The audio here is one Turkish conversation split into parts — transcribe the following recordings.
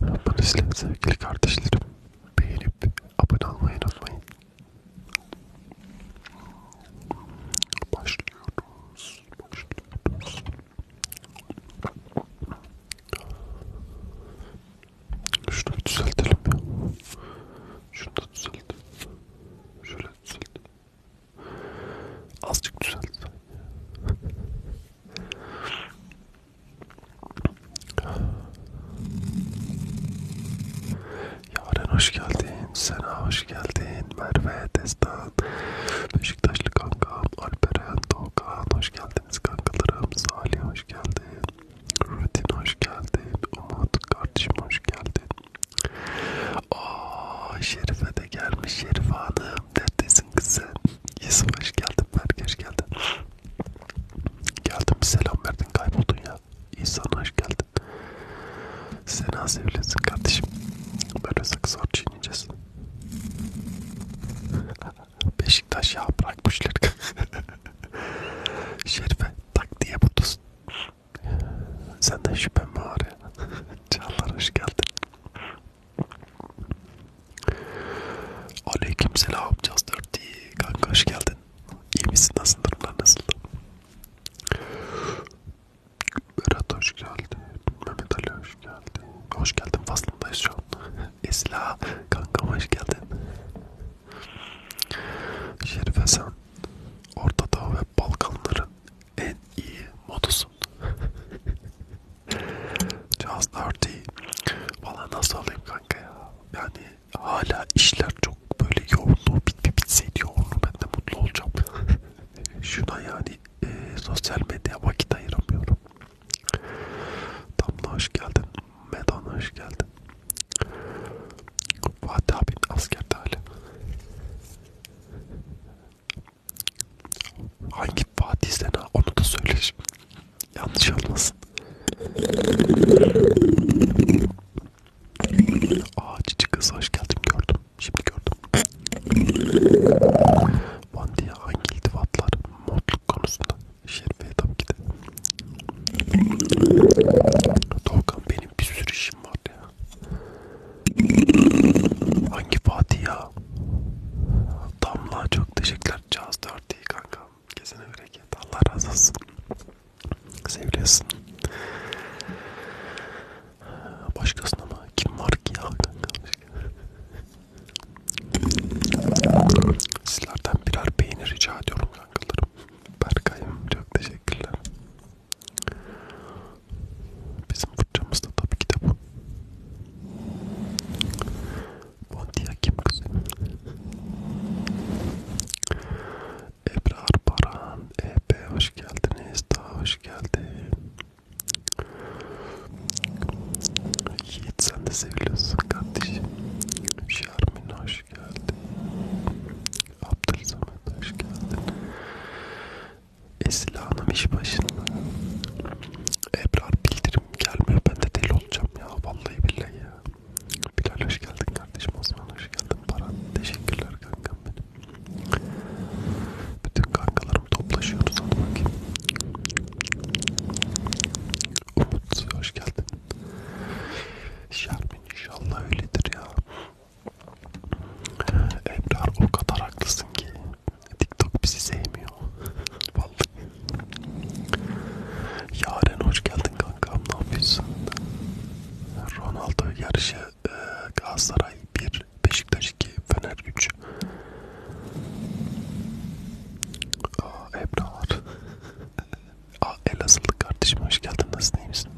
Bunu izleyin sevgili kardeşlerim. Beğenip abone olmayı unutmayın. Başlıyoruz. Başlıyoruz. Şunu bir düzeltelim ya. Şunu da düzelt. Şöyle düzelt. Azıcık düzelt. Yaren hoş geldin, Sena hoş geldin, Merve, Destan, Beşiktaşlı kankam, Alperen, Doğukan hoş geldiniz kankalarım, Salih hoş geldin, Rutin hoş geldin, Umut kardeşim hoş geldin. Aa, Şerife de gelmiş Şerife Hanım neredesin kız sen? Yes, hoş geldin Berk, hoş geldin. Geldim, selam verdin, kayboldun ya. İhsan hoş geldin. Sena sevilesin kardeşim. Böyle sakız var çiğneyeceğiz. Beşiktaş ya bırakmışlar. Şerife tak diye buradasın. Senden şüphem var ya. Canlar hoş geldin. Aleyküm selam Caster D. Kanka hoş geldin. İyi misin? Nasıl durumlar? Nasıl? Berat hoş geldin. Mehmet Ali hoş geldin. Hoş geldin faslındayız şu an. Esla kanka hoş geldin. Şerife sen Orta Doğu ve Balkanların en iyi modusun. Just 30 Valla nasıl alayım kanka ya Yani hala işler çok böyle yoğunluğu bit bir bitseydi yoğunluğu ben de mutlu olacağım Şuna yani e, sosyal medyaya vakit ayıramıyorum Damla hoş geldin Medan hoş geldin Fatih abim askerde hala Hangi Fatih Sena onu da söyle şimdi. Yanlış olmasın. Aa cici kız hoş geldin gördüm. Şimdi gördüm. Bandiye hangi iltifatlar modluk konusunda? Şerife tabii ki de. Doğukan benim bir sürü işim var ya. Hangi Fatih ya? Damla çok teşekkür teşekkürler. Caz 4 iyi kanka. Kesene bereket. Allah razı olsun. Seviyorsun. Başkasına mı? Kim var ki ya kanka? Sizlerden birer beğeni rica ediyorum kankalarım. Berkay'ım çok teşekkürler. Bizim fırçamız da tabii ki de bu. Vadiye kim kızım? Ebrar Baran, EP hoş geldiniz, daha hoş geldin. Yiğit sen de seviyorsun kardeşim. Şermin hoş geldin. Abdülsamet hoş geldin. Esila Hanım iş başında. Ebrar bildirim Sesim gelmiyor. Ben de deli olacağım ya. Vallahi billahi ya. Bilal hoş geldin kardeşim. Osman hoş geldin. Paran teşekkürler kankam benim. Bütün kankalarım toplaşıyoruz. Hadi bakayım. Umut hoş geldin. Şermin inşallah öyledir ya. Ebrar o kadar haklısın ki TikTok bizi sevmiyor. Vallahi. Yaren hoş geldin kankam. Ne yapıyorsun? Ronaldo yarışı e, Galatasaray 1, Beşiktaş 2, Fener 3. Aa, Ebrar. Aa, Elazığlı kardeşim hoş geldin. Nasılsın? İyi misin?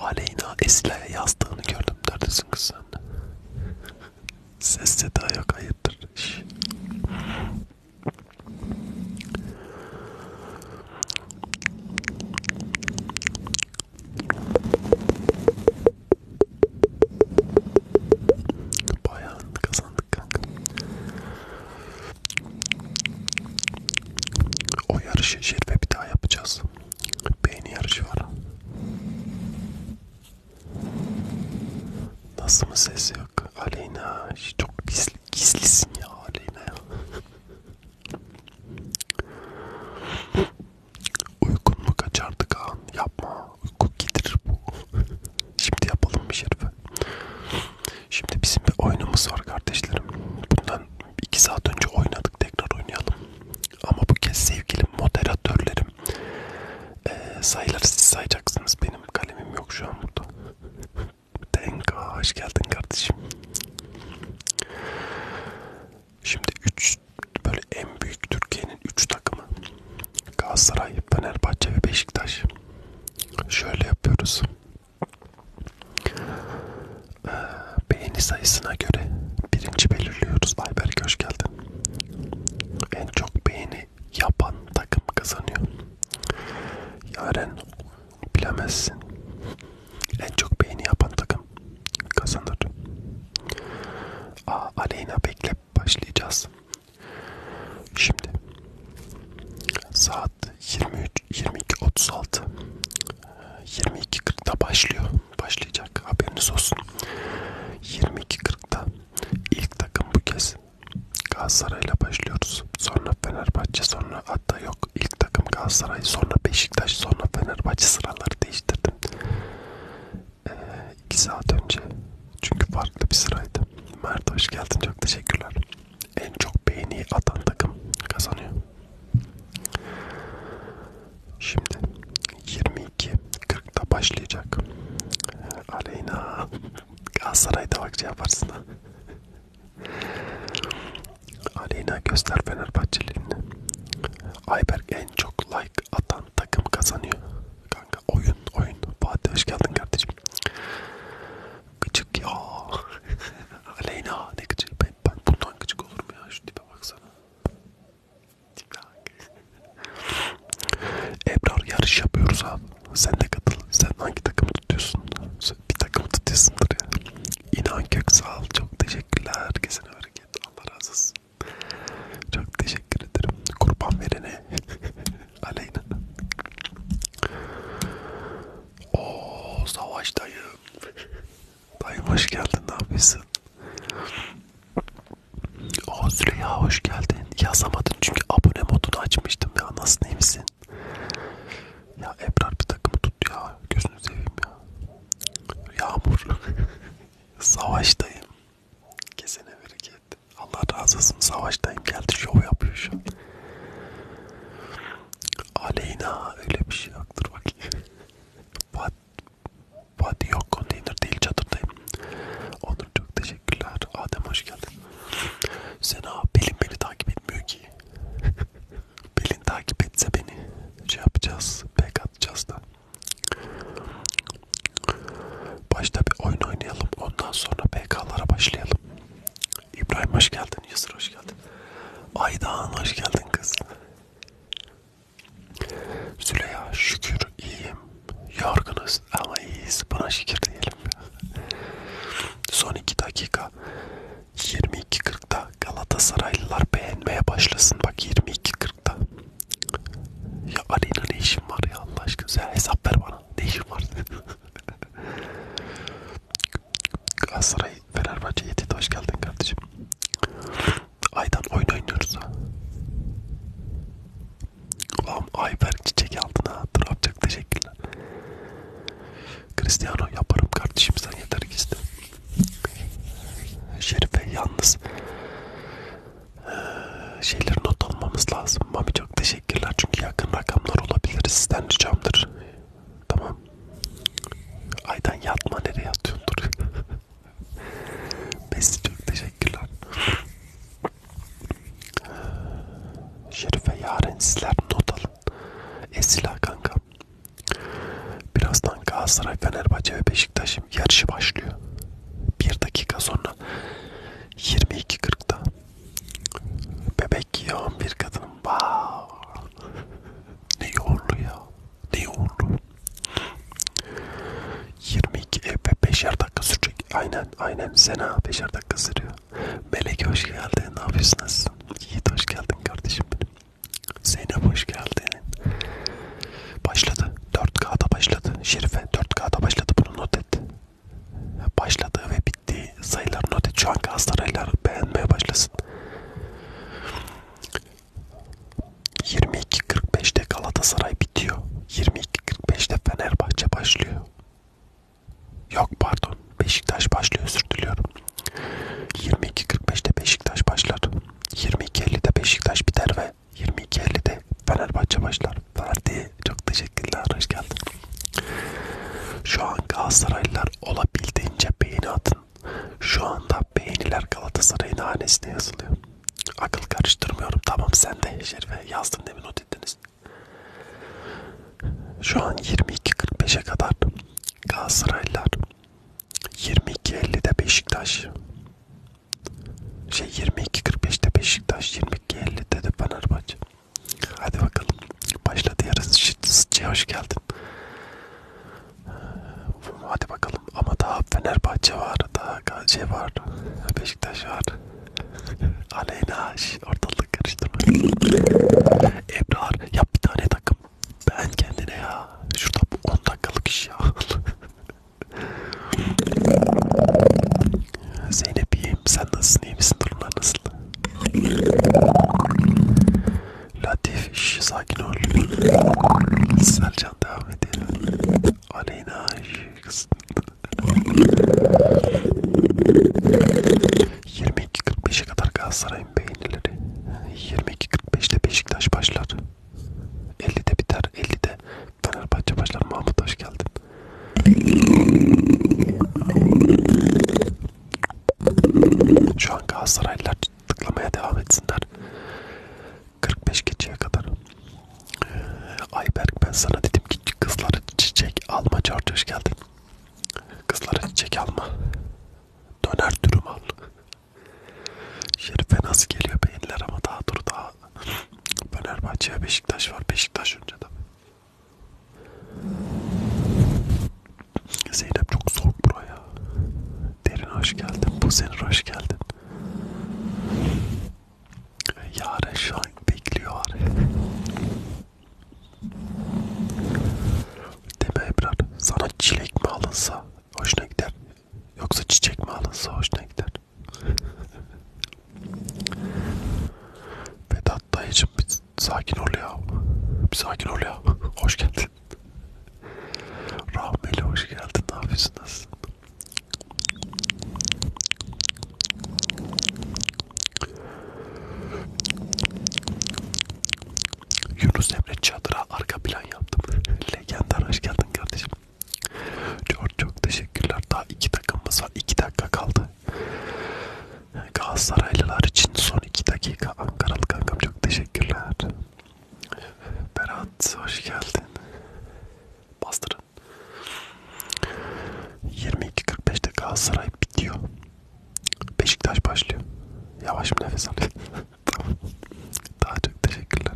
Aleyna Esile'ye yazdığını gördüm. Neredesin kız sen? Ses seda yok hayırdır Şş. Bayağı kazandık kanka. O yarışı Şerife bir daha yapacağız. Beğeni yarışı var. Nasıl mı ses yok? Aleyna çok gizli, gizlisin ya Aleyna ya. Uykun mu kaçardı Kaan? Yapma. Uyku gidirir bu. Şimdi yapalım mı Şerife? Şimdi bizim bir oyunumuz var kardeşlerim. Bundan 2 saat önce oynadık tekrar oynayalım. Ama bu kez sevgili moderatörleri düşünüyorum. Ee, sayıları siz sayacaksınız. Benim kalemim yok şu an burada. Tenka hoş geldin kardeşim. Şimdi 3 böyle en büyük Türkiye'nin 3 takımı Galatasaray, Fenerbahçe ve Beşiktaş. Şöyle yapıyoruz. Ee, beğeni sayısına göre birinci belirliyoruz. Ayberk hoş geldin. En çok beğeni yapan takım kazanıyor. Yaren bilemezsin. En çok beğeni yapan takım kazanır. Aa, Aleyna bekle başlayacağız. Şimdi saat 23.22.36 22.40'da başlıyor. Başlayacak haberiniz olsun. 22.40'da ilk takım bu kez Galatasaray'la başlıyoruz. Sonra Fenerbahçe, sonra hatta yok ilk takım Galatasaray, sonra Beşiktaş, sonra Fenerbahçe sıraları değiştirdim. 2 ee, saat önce. Çünkü farklı bir sıraydı. Mert hoş geldin. Çok teşekkürler. En çok beğeni atan takım kazanıyor. Şimdi 20 22. 40'da başlayacak. Aleyna. Galatasaray'da bak şey yaparsın ha. Aleyna göster Fenerbahçelilerini. Ayberk en çok like atan takım kazanıyor. Kanka oyun oyun. Fatih hoş geldin kardeşim. Gıcık ya. Aleyna ne gıcık. Ben, ben bundan gıcık olurum ya. Şu tipe baksana. Tipe bak. Ebrar yarış yapıyoruz abi. Sen de katıl. Sen hangi takımı tutuyorsun? Sen bir takımı tutuyorsundur ya. İnan Köksal çok teşekkürler. Herkesine hareket. Allah razı olsun. Çok teşekkür ederim. Kurban verene. Aleyna. Ooo savaş dayı. Dayım hoş geldin. Ne yapıyorsun? O Züleyha hoş geldin. Yazamadın çünkü abone modunu açmıştım ya. Nasıl iyi misin? Ya Ebrar bir takımı tuttu ya. Gözünü seveyim ya. Yağmur. Savaştayım. Kesene bereket. Allah razı olsun. Savaştayım geldi. Şov yapıyor şu an. Aleyna öyle bir şey yoktur bakayım. Vadi yok konteyner değil çadırdayım. Onur çok teşekkür Teşekkürler. Adem hoş geldin. Sena Pelin beni takip etmiyor ki. Pelin takip etse beni şey yapacağız. Pek atacağız da. Başta bir oyun oynayalım. Ondan sonra PK'lara başlayalım. İbrahim hoş geldin. Yusur hoş geldin. Aydan hoş geldin kız. Züleyha şükür iyiyim. Yorgunuz ama iyiyiz. Buna şükür diyelim. Son 2 dakika. 22.40'da Galatasaraylılar beğenmeye başlasın. Bak 22.40'da. Ya Alina ne işin var ya Allah aşkına. Sen hesap ver bana. Ne işin var? Galatasaray Fenerbahçe Yeti'de hoş geldin kardeşim. Aydan oyun oynuyoruz ha. Ulan Ayberk çiçek altına Trap çok teşekkürler. Cristiano yaparım kardeşim sen yeter ki iste. Şerife yalnız ee, şeyleri not almamız lazım. Mami çok teşekkürler çünkü yakın rakamlar olabilir. Sizden ricamdır. Tamam. Aydan yatma nereye yatıyordur. Messi çok teşekkürler. Şerife yarın sizler not alın. Esila kanka. Birazdan Galatasaray, Fenerbahçe ve Beşiktaş'ın yarışı başlıyor. Bir dakika sonra 22.40'da bebek yalan bir kadın. Wow. ne yoğurlu ya. Ne yoğurlu. 22 e, ve 5'er dakika sürecek. Aynen aynen Sena 5'er dakika sürüyor. Melek hoş geldin. Ne yapıyorsun nasılsın? Yiğit hoş geldin kardeşim benim. Zeynep hoş geldin. Başladı. 4K'da başladı. Şerife 4K'da başladı. Bunu not et. Başladığı ve bittiği sayıları not et. Şu an Galatasaraylar beğenmeye başlasın. 22.45'te Galatasaray bitiyor. 22.45'te Fenerbahçe başlıyor. Yok pardon. Beşiktaş başlıyor özür diliyorum. 22.45'te Beşiktaş başlar. 22.50'de Beşiktaş biter ve 22.50'de Fenerbahçe başlar. Ferdi çok teşekkürler. Hoş geldin. Şu an Galatasaraylılar olabildiğince beğeni atın. Şu anda beğeniler Galatasaray'ın hanesine yazılıyor. Akıl karıştırmıyorum. Tamam sen de Şerife yazdın demin o dediniz. Şu an 22.45'e kadar Galatasaraylılar 22.50'de Beşiktaş şey 22.45'te Beşiktaş 22.50'de de Fenerbahçe. Hadi bakalım. Başladı yarısı. Sıçıya hoş geldin. Hadi bakalım. Ama daha Fenerbahçe var. Daha Gazi var. Beşiktaş var. Aleyna şş, ortalık karıştırma. Ebrar yap bir tane takım. Ben kendine ya. Şurada 10 dakikalık iş ya. Zeynep iyiyim. Sen nasılsın? İyi misin? Durumlar nasıl? Latif şş, sakin ol. Selcan devam ediyor. Aleyna şş, kız. 22.45'e kadar Galatasaray'ın beğenileri. 22.45'te Beşiktaş başlar. 50'de biter. 50'de Fenerbahçe başlar. Mahmut hoş geldin. Şu an Galatasaraylılar tıklamaya devam etsinler. 45 geçeye kadar. Ayberk ben sana dedim ki kızlara çiçek alma George hoş geldin. Kızlara çiçek alma. Döner dürüm al. Şerife nasıl geliyor beğeniler ama daha dur daha. Fenerbahçe'ye Beşiktaş var. Beşiktaş önce de. Zeynep çok soğuk buraya. Derin hoş geldin. Bu senin hoş geldin. Yarın şu an bekliyor. Deme Ebrar, sana çilek mi alınsa hoşuna gider, yoksa çiçek mi alınsa hoşuna gider. Vedat dayıcım bir sakin ol ya, bir sakin ol ya, hoş geldin. Rahmeli hoş geldin, ne yapıyorsun, nasılsın? Yunus Emre çadıra arka plan yaptım. Legender hoş geldin kardeşim. George çok teşekkürler. Daha iki dakikamız var. İki dakika kaldı. Galatasaraylılar için son iki dakika. Ankaralı kankam çok teşekkürler. Berat hoş geldin. Bastırın. 22.45'te Galatasaray bitiyor. Beşiktaş başlıyor. Yavaş bir nefes alayım. tamam. Daha çok teşekkürler.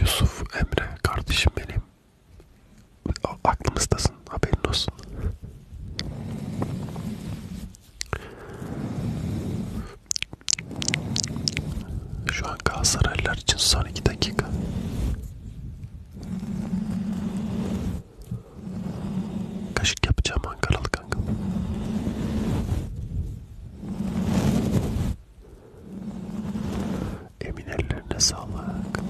Yusuf Emre kardeşim benim. Aklımızdasın. Haberin olsun. Şu an Galatasaraylılar için son 2 dakika. Kaşık yapacağım Ankaralı kanka. Emin ellerine sağlık.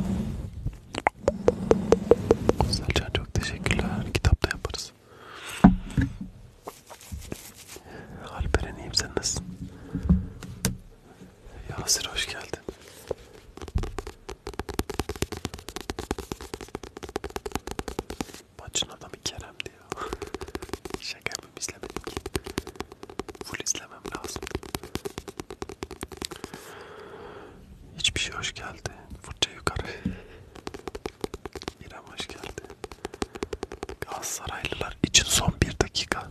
Selcan çok teşekkürler. Kitapta yaparız. Alperen iyiyim sen nasılsın? Yasir hoş geldin. Maçın adamı Kerem diyor. Şaka yapayım izlemedim ki. Full izlemem lazım. Hiçbir şey hoş geldi. Fırça yukarı. İrem hoş geldi. Galatasaraylılar için son bir dakika.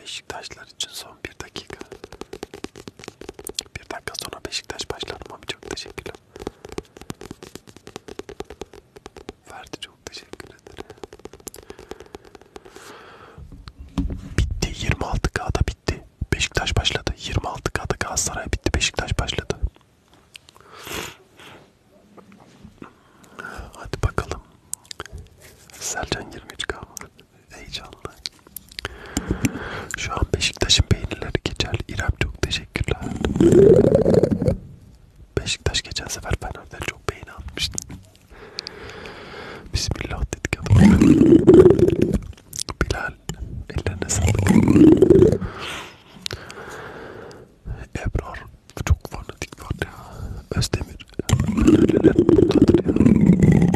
Beşiktaşlar için son bir dakika. Bir dakika sonra Beşiktaş başlar mı? Çok teşekkürler. Ferdi çok teşekkür ederim. Bitti 26K'da bitti. Beşiktaş başladı. 26K'da Galatasaray bitti. Beşiktaş başladı. Hadi bakalım. Selcan 23K mı? Heyecanlı. Şu an Beşiktaş'ın beğenileri geçer. İrem çok teşekkürler. Beşiktaş geçen sefer Fener'den çok beğeni atmıştı. Bismillah dedik adama. Bilal ellerine sağlık. Ebrar çok fanatik var ya. Özdemir.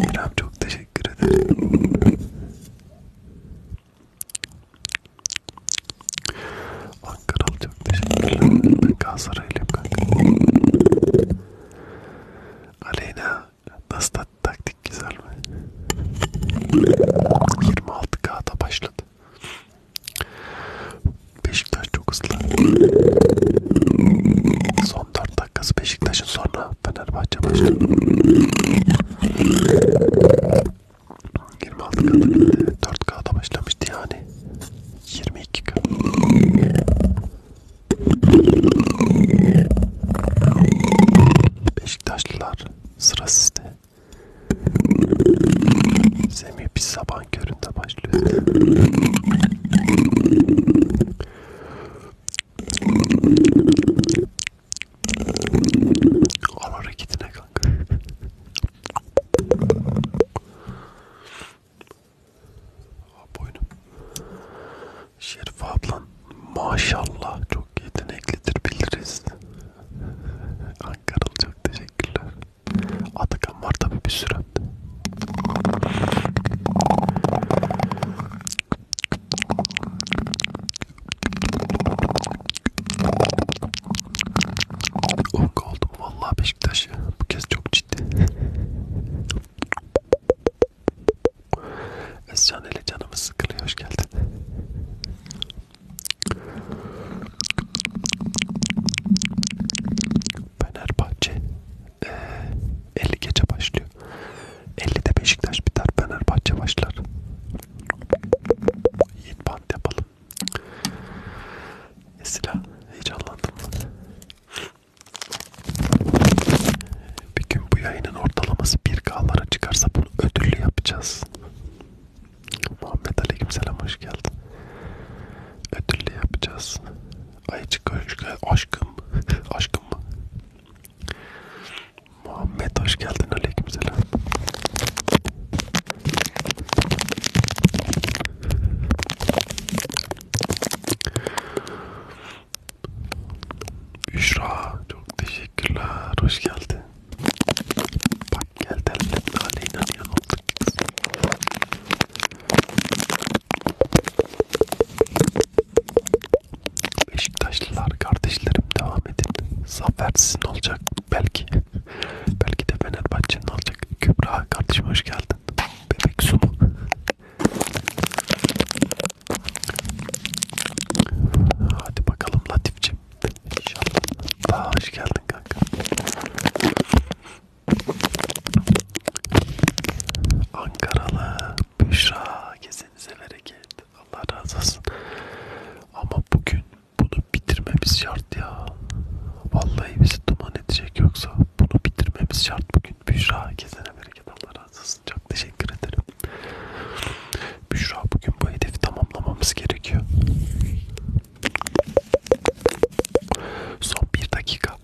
İrem çok teşekkür ederim. Ankara çok teşekkür ederim. Galatasaraylıyım kanka. Aleyna nasıl taktik güzel 26K'da başladı. Beşiktaş çok hızlı. Son 4 dakikası Beşiktaş'ın sonra Fenerbahçe başladı. 26K'da 4K'da başlamıştı yani. 22K. Beşiktaşlılar sıra sizde. Semih bir sabah köründe başlıyor. Al hareketine kanka. Aa, boynum. Şerife ablan maşallah çok çok yeteneklidir biliriz. Ankaralı çok teşekkürler. Atakan var tabi bir sürü. Ok oldum vallahi Beşiktaş ya. Bu kez çok ciddi. Escan ile canımız sıkılıyor. Hoş geldin. Fenerbahçe e, 50 gece başlıyor. 50'de Beşiktaş biter, Fenerbahçe başlar. Yiğit band yapalım. Esra heyecanlandım. Bir gün bu yayının ortalaması 1K'lara çıkarsa bunu ödüllü yapacağız. Muhammed Aleykümselam hoş geldin. Ödüllü yapacağız. Ayıcık Gölcük aşkım. aşkım mı? Muhammed hoş geldin. Aleykümselam. Üşra çok teşekkürler. Hoş geldin. Bak gel derler hale inanıyor olduk. Beşiktaşlılar kardeşlerim devam edin. Zafer sizin olacak belki. belki de Fenerbahçe'nin olacak. Kübra kardeşim hoş geldin. Bebek su mu? Hadi bakalım Latif'ciğim. İnşallah. Daha hoş geldin kanka. Ankaralı Büşra kesinize bereket. Allah razı olsun. Ama bugün bunu bitirmemiz şart ya. Vallahi bizi duman edecek yoksa bunu bitirmemiz şart bugün. Büşra kesene bereket. Allah razı olsun. Çok teşekkür ederim. Büşra bugün bu hedefi tamamlamamız gerekiyor. Son bir dakika.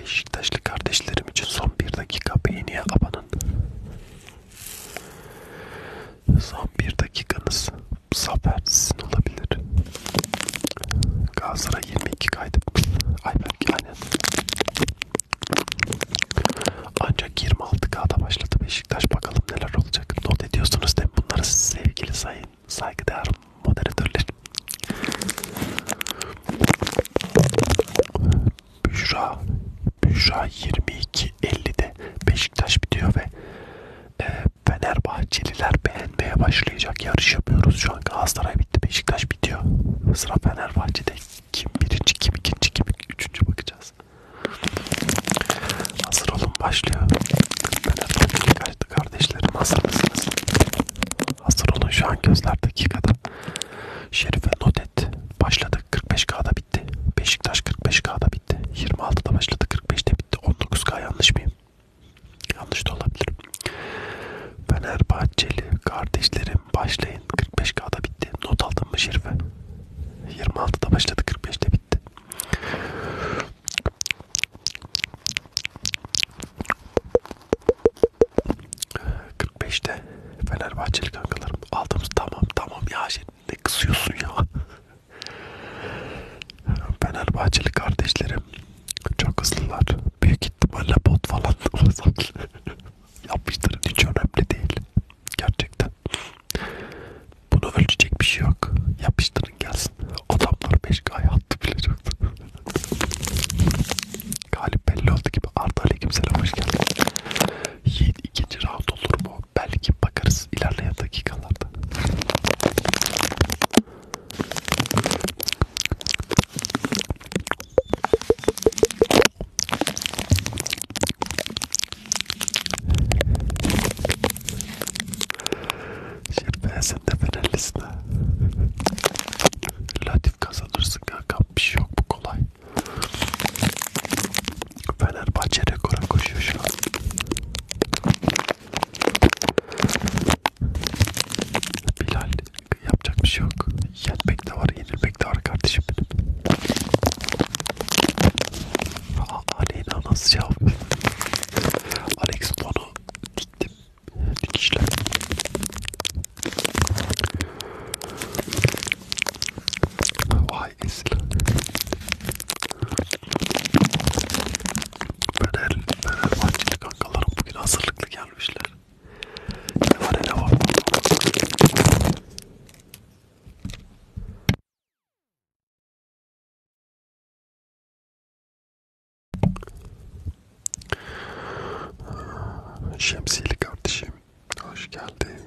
Beşiktaşlı kardeşlerim için son bir dakika beğeniye abanın. Son bir dakikanız zafer sizin olabilir. Galatasaray 22 kaydı. Ayberk aynen. Anca başlayacak. 26K'da başladı Beşiktaş. Bakalım neler olacak. Not ediyorsunuz değil mi? Bunları sevgili sayın saygıdeğer moderatörler. Büşra, Büşra 22.50'de Beşiktaş bitiyor ve e, Fenerbahçeliler beğenmeye başlayacak. Yarış yapıyoruz şu an. Galatasaray bitti, Beşiktaş bitiyor. Sıra Fenerbahçe'de. Kim birinci, kim ikinci, kim üçüncü bakacağız. Hazır olun başlıyor. Ben kaçtı kardeşlerim hazır mısınız? Hazır olun şu an gözler dakikada. Şerife not et. Başladık 45K'da bitti. Beşiktaş 45K'da bitti. 26'da başladı 45'te bitti. 19K yanlış mıyım? Yanlış da olabilir. Fenerbahçeli kardeşlerim başlayın. 45K'da bitti. Not aldın mı Şerife? 26'da başladı 45'te bitti. 45'te Fenerbahçeli kankalarım aldığımız tamam tamam ya şey, ne kısıyorsun ya Fenerbahçeli kardeşlerim çok hızlılar büyük ihtimalle bot falan yapmıştır hiç önemli değil gerçekten bunu ölçecek bir şey yok. Yapıştırın gelsin. Adamlar 5K'ya attı bile çok. Galip belli oldu gibi. Arda aleykümselam hoş geldin. Yiğit ikinci round olur mu? Belki bakarız ilerleyen dakikalarda. Şirpeye sen de fenerlisin ha. Latif kazanırsın kanka. Bir şey yok bu kolay. Fenerbahçe rekora koşuyor şu an. Bilal yapacak bir şey yok. Yenmek de var, yenilmek de var kardeşim benim. Aleyna nasıl cevap Alex Bono diktim dikişler Vay Esra Ben her, ben her bahçeli kankalarım bugün hazırlıklı gelmişler Ne var ne var Şemsiyeli kardeşim hoş geldin.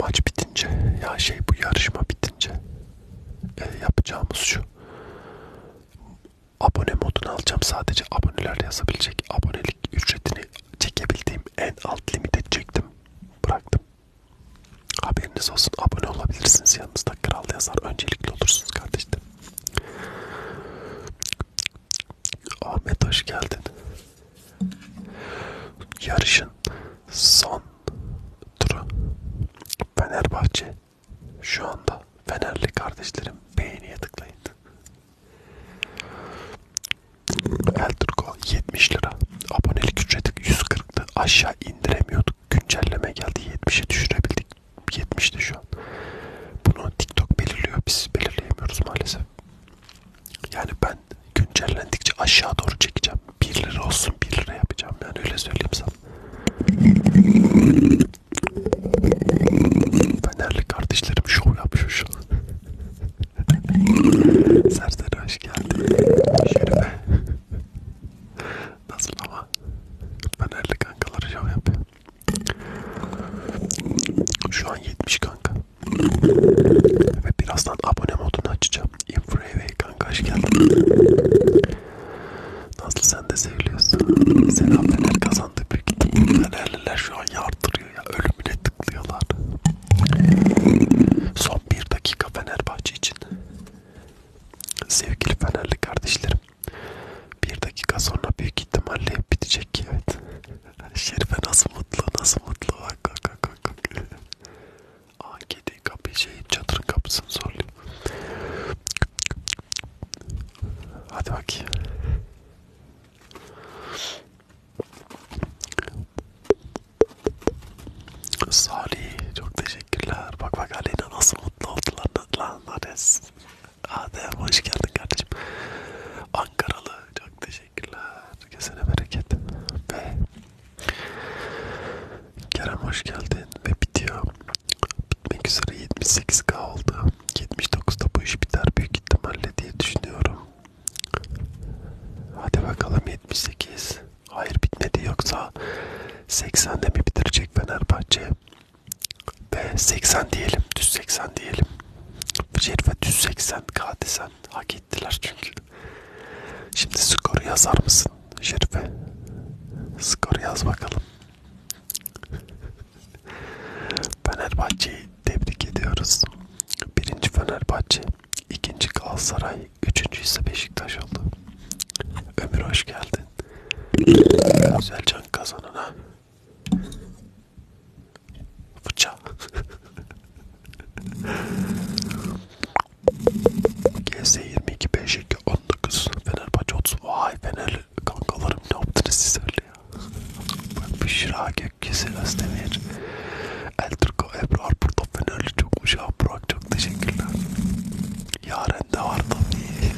Maç bitince ya şey bu yarışma bitince e, yapacağımız şu. Abone modunu alacağım. Sadece aboneler yazabilecek. Abonelik ücretini çekebildiğim en alt limite çektim. Bıraktım. Haberiniz olsun. Abone olabilirsiniz. Yanınızda kral yazar. Öncelikli olursunuz kardeşlerim. Ahmet hoş geldin. Yarışın son turu. Fenerbahçe şu anda Fenerli kardeşlerim beğeniye tıklayın. Elturko 70 lira. Abonelik ücreti 140'tı. Aşağı indiremiyorduk. Güncelleme geldi. 70'e düşürebildik. 70'ti şu an. Bunu TikTok belirliyor. Biz belirleyemiyoruz maalesef. Yani ben güncellendikçe aşağı doğru çekeceğim. 1 lira olsun 1 lira yapacağım. Yani öyle söyleyeyim sana. Fenerli kardeşlerim şov yapmış şu an. Serseri hoş geldin. Şerife. Nasıl ama? Fenerli kankaları şov yapıyor. Şu an 70 kanka. Ve birazdan abone modunu açacağım. Infrayway kanka hoş geldin. Nasıl sen de seviliyorsun? Selam Fener kazandı büyük ihtimalle. Fenerliler şu an yardırıyor ya. Ölümüne tıklıyorlar. Son bir dakika Fenerbahçe için. Sevgili Fenerli kardeşlerim. Bir dakika sonra büyük ihtimalle bitecek ki evet. Şerife nasıl mutlu, nasıl mutlu. Bak bak bak bak. Aa kedi kapıyı şey, çadırın kapısını zorluyor. Hadi bakayım. Salih çok teşekkürler. Bak bak Aleyna nasıl mutlu oldular lan. Lan Adem hoş geldin kardeşim. Ankaralı çok teşekkürler. Kesene bereket. Ve Kerem hoş geldin ve bitiyor. Bitmek üzere 78k oldu. 79'da bu iş biter büyük ihtimalle diye düşünüyorum. Hadi bakalım 78. Hayır bitmedi yoksa 80'de mi bitirecek Fenerbahçe? ve 80 diyelim, düz 80 diyelim. Şerife düz 80 k desen hak ettiler çünkü. Şimdi skoru yazar mısın Şerife? Skoru yaz bakalım. Fenerbahçe'yi tebrik ediyoruz. Birinci Fenerbahçe, ikinci Galatasaray, üçüncü ise Beşiktaş oldu. Ömür hoş geldin. Güzel can kazanana. Fırça. GS 22 BŞK 19 Fenerbahçe 30 Vay Fener kankalarım ne yaptınız siz öyle ya Bak Büşra Gökyüzü Özdemir Elturko Ebrar burada Fenerli çokmuş ya Burak çok teşekkürler Yaren de var tabi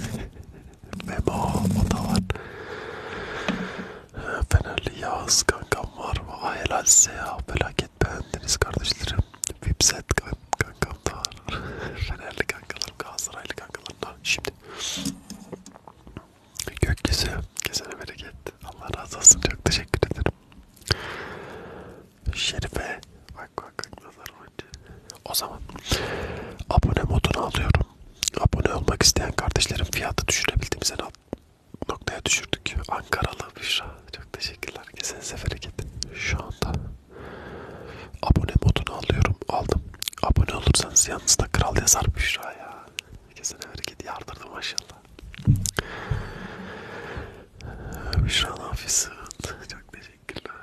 Memo o da var Fenerli Yağız kankam var mı? Helal size ya. Felaket beğendiniz kardeşlerim. Vipset kankam da var. Fenerli kankalarım, Galatasaraylı kankalarım da. Şimdi gökyüzü kesene bereket. Allah razı olsun. Çok teşekkür ederim. Şerife bak bak bak nazar O zaman abone modunu alıyorum. Abone olmak isteyen kardeşlerin fiyatı düşürebildiğimiz en alt noktaya düşürdük. Ankaralı Büşra. Çok teşekkürler. Kesenize bereket. Şu anda abone modunu alıyorum. Aldım. Abone olursanız yanınızda kral yazar Büşra ya. Kesene bereket. Yardırdım maşallah. Büşra Nafis'in. Çok teşekkürler.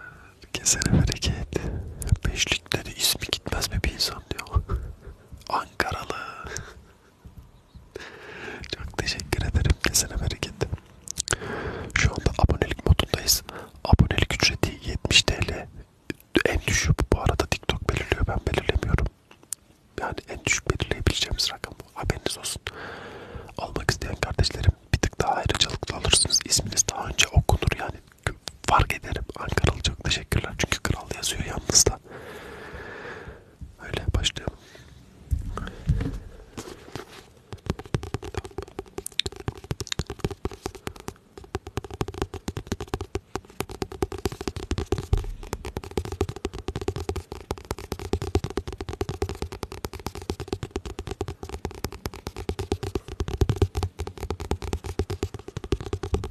Kesene bereket. Beşlikte de ismi gitmez mi bir insan diyor. Ankaralı. Çok teşekkür ederim. Kesene bereket. Şu anda abonelik modundayız. Abonelik ücreti 70 TL. En düşük bu arada TikTok belirliyor. Ben belirlemiyorum. Yani en düşük belirleyebileceğimiz rakam bu. Haberiniz olsun. Almak isteyen kardeşlerim bir tık daha ayrıcalıklı alırsınız. İsminiz daha önce okunur yani fark ederim. Ankaralı çok teşekkürler. Çünkü kral yazıyor yalnız da. Öyle başlayalım.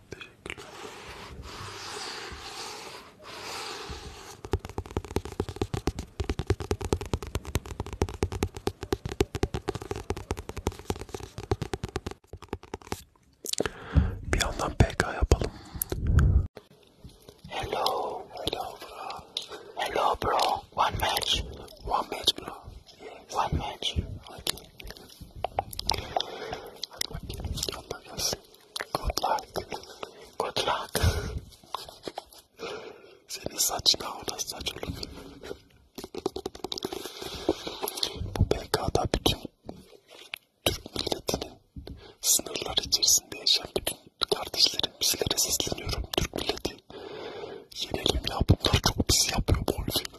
çok teşekkürler. Bir yandan PK yapalım. Hello, hello bro. Hello bro. One match. One match bro. Yes. One match. Okay. Hadi bakayım. Yolla gelsin. Good luck. Good luck. Senin saçına ona saç olur. Bu PK'da bütün Türk milletinin sınırlar içerisinde yaşayan bütün kardeşlerim bizlere sesleniyorum. Türk milleti yenelim ya bunlar çok pis yapıyor bu oyunu.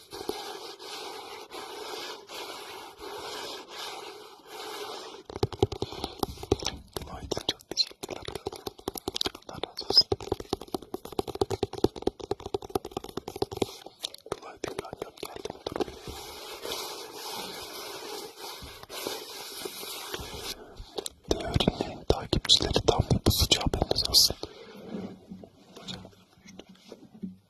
Günaydın çok teşekkürler. Allah razı olsun. Günaydın kankam geldim dur. Teorinin takipçileri tam bir sıcağı benziyorsun. Bacaklarım düştü.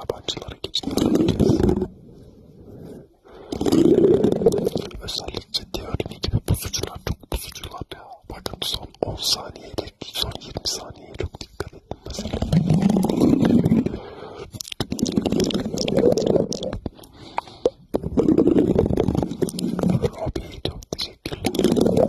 yabancılara geçtiğimiz özellikle teori gibi pusucular çok pusucular ya. Bakın son 10 saniyede, son 20 saniyeye çok dikkat ettim mesela. Abi çok teşekkürler.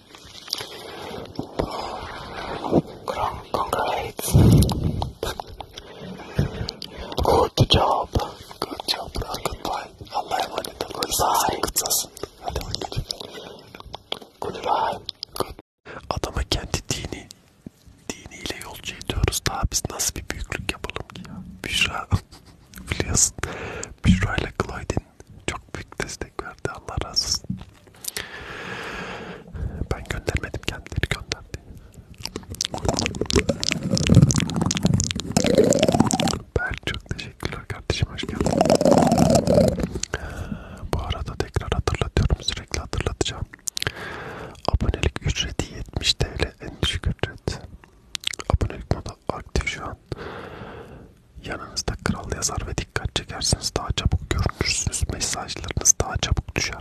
Congrats. Good job. Good job. Goodbye. Allah'a emanet olun. Bye. Kıtsasın. Hadi bakayım. Goodbye. Good. Adama kendi dini diniyle yolcu ediyoruz. Daha biz nasıl bir büyüklük yapalım ki ya? Büşra biliyorsun. Büşra ile Clyde'in çok büyük destek verdi. Allah razı olsun. Ben göndermedim kendileri gönderdi. Berk çok teşekkürler kardeşim hoş geldin. Bu arada tekrar hatırlatıyorum sürekli hatırlatacağım. Abonelik ücreti 70 TL en düşük ücret. Abonelik modu aktif şu an. Yanınızda kral yazar ve dikkat çekersiniz daha çabuk görünürsünüz. Mesajlarınız daha çabuk düşer.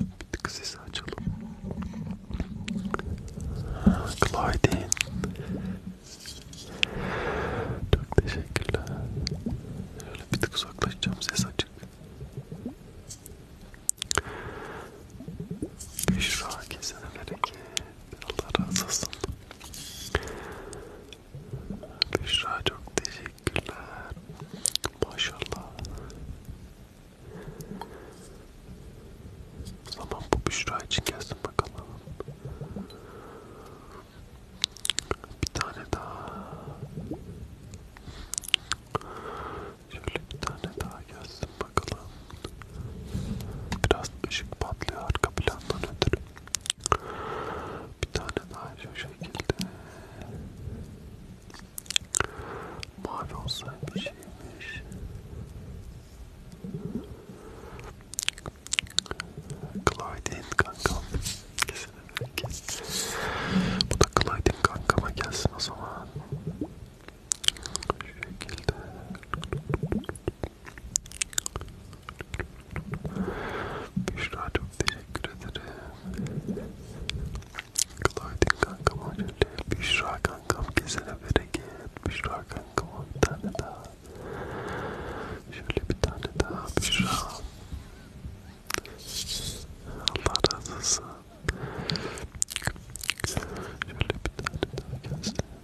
Bir tık sesi açalım. Clyde'in. Çok teşekkürler. Öyle bir tık uzaklaşacağım ses açık. Büşra kesene bereket. Allah razı olsun. Büşra çok teşekkürler. Maşallah. O zaman bu Büşra için gelsin bakalım. Bir tane daha. Şöyle bir tane daha gelsin bakalım. Biraz ışık patlıyor arka plandan ötürü. Bir tane daha şu şekilde. Mavi olsaydı bir şeymiş. Clyde'in kankam. Kesinlikle. Bu da Clyde'in kankama gelsin o zaman. Şu şekilde. Büşra çok teşekkür ederim. Clothing kankam hocam. Büşra kankam kesene bereket. Büşra kankam bir tane daha. Şöyle bir tane daha. Büşra. Allah razı olsun. Şöyle bir tane daha gelsin.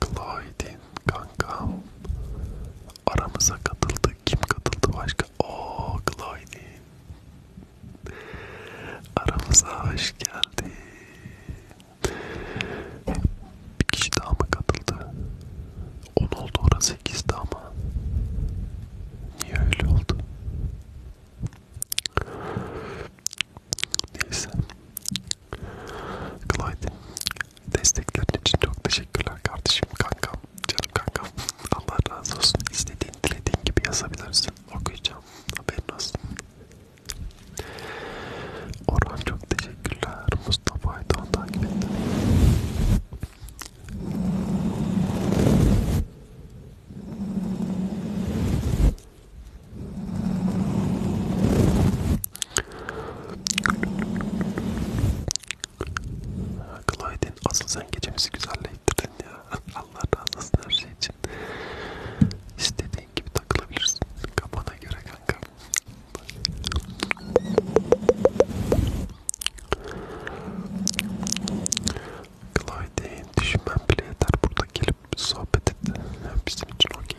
Clyde'in kankam aramıza katıldı. Kim katıldı başka? Oo Clyde'in. Aramıza hoş geldi. Bir kişi daha mı katıldı? 10 oldu orası 8'di ama. Niye öyle oldu? Neyse. Clyde desteklerin için çok teşekkürler kardeşim kankam canım kankam Allah razı olsun istediğin dilediğin gibi yazabilirsin okuyacağım haberin olsun Orhan çok teşekkürler Mustafa Aydoğan takip ettim Clyde'in asıl sen gecemizi güzelleştirdin ya. Allah razı olsun her şey için. İstediğin gibi takılabilirsin. Kafana göre kanka. Clyde'in düşünmem bile yeter. Burada gelip sohbet et. Bizim için okey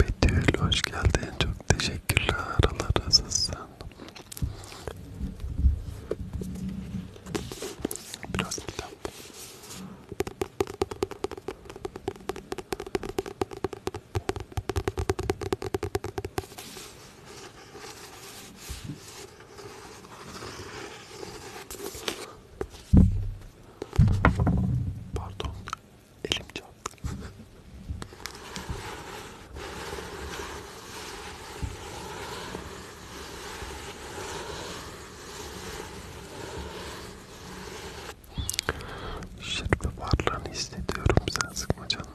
Betül hoş geldin. Çok teşekkürler. Allah razı olsun. Biraz kitap. Pardon, Elim çarptı. Şirpe varlığını hissediyorum. Sen sıkma canını.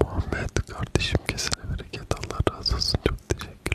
Muhammed kardeşim kesene bereket Allah razı olsun çok teşekkürler.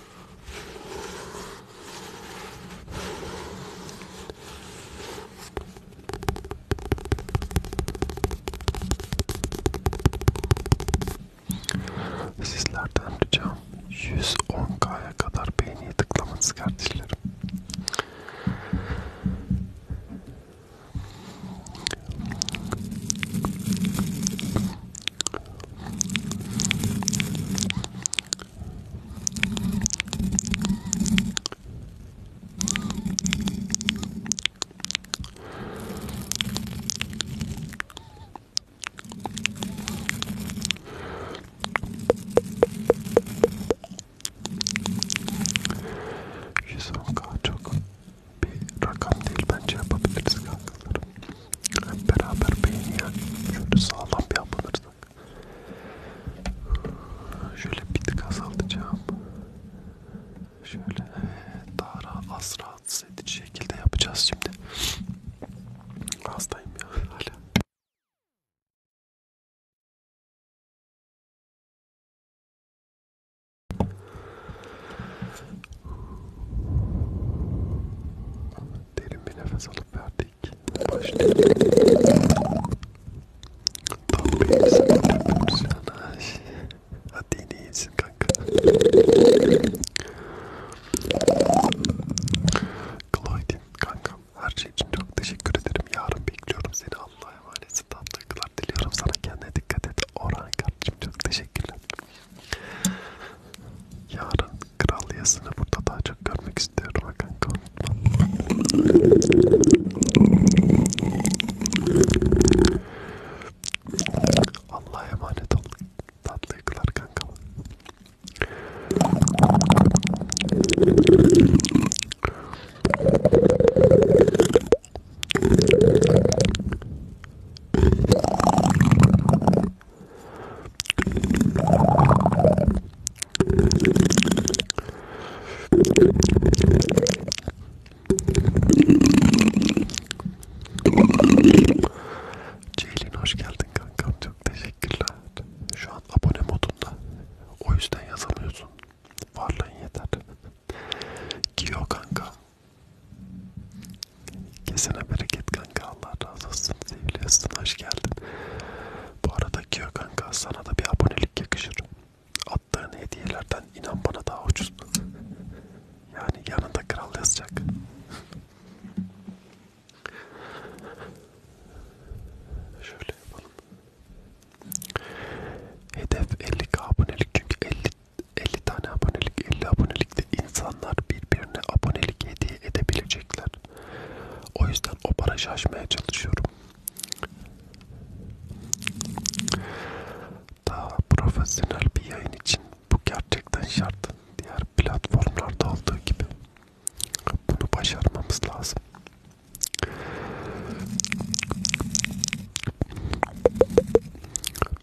Sizlerden ricam 110K'ya kadar beğeniye tıklamanız kardeşlerim. 110k çok bir rakam değil bence yapabiliriz kankalarım. Hep beraber beyin yani şöyle sağlam bir yapılırsa. Şöyle bir tık azaltacağım. Şöyle daha rahat, az rahatsız edici şekilde yapacağız şimdi. Hastayım ya hala. Derin bir nefes alıp verdiğim Dik. Başlayalım. Tam benim sevdiğim Hadi en iyisin kanka. Clyde'in kankam her şey için çok teşekkür ederim. Yarın bekliyorum seni Allah'a emanet. Tatlıklar diliyorum sana. Kendine dikkat et. Orhan kardeşim çok teşekkürler. Yarın kral yazını burada daha çok görmek istiyorum kanka unutma. Allah'a emanet ol. Tatlı yıkılar kanka. Ceylin hoş geldin kankam çok teşekkürler. Şu an abone modunda. O yüzden yazamıyorsun. Varlığın yeter. Giyo kanka. Kesene bereket kanka. Allah razı olsun. Sevgili Hüsnü hoş geldin. Bu arada Kia kanka sana da bir abonelik yakışır. Attığın hediyelerden inan bana daha ucuz. Yani yanında kral yazacak. Şöyle yapalım. Hedef 50k abonelik çünkü 50, 50 tane abonelik 50 abonelikte insanlar birbirine abonelik hediye edebilecekler. O yüzden o barajı aşmaya çalışıyorum. Daha profesyonel bir yayın için bu gerçekten şart. Diğer platformlarda olduğu gibi bunu başarmamız lazım.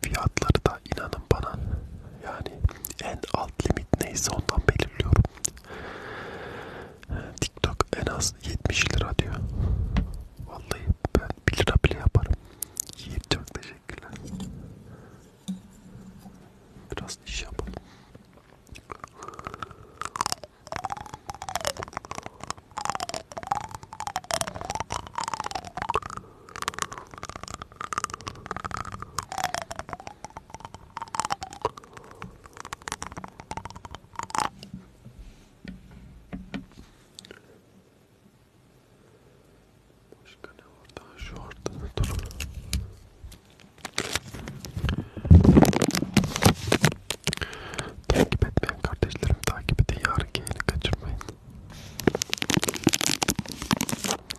Fiyatları da inanın bana yani en alt limit neyse ondan belirliyorum. TikTok en az 70 lira diyor. Vallahi ben 1 lira bile yaparım. İyi, çok teşekkürler. Biraz iş yapalım. Başka ne var daha şu ortada dur. Takip etmeyen kardeşlerim takip edin yarınki yayını kaçırmayın.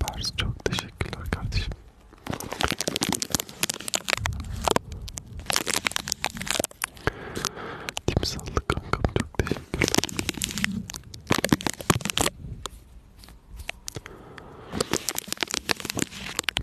Pars çok teşekkürler kardeşim. Timsallı kankam çok teşekkürler.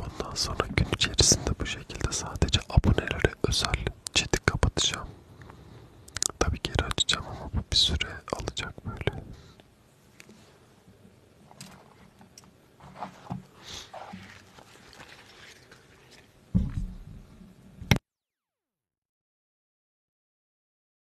Bundan sonra gün içerisinde bu şekilde sadece abonelere özel chat'i kapatacağım. Tabii geri açacağım ama bu bir süre alacak böyle.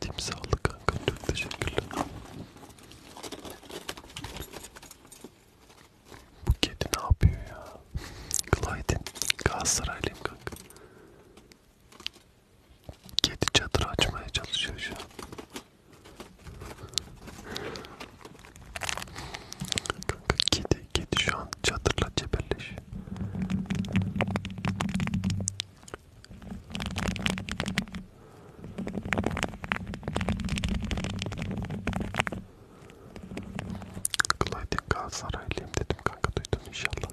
Timsahlı kanka çok teşekkürler. Bu kedi ne yapıyor ya? Clyde'in Galatasaraylıyım kanka. Kedi çadır açmaya çalışıyor şu an. Kanka kedi, kedi şu an çadırla cebelleş. Clyde'in Galatasaraylıyım dedim kanka duydun inşallah.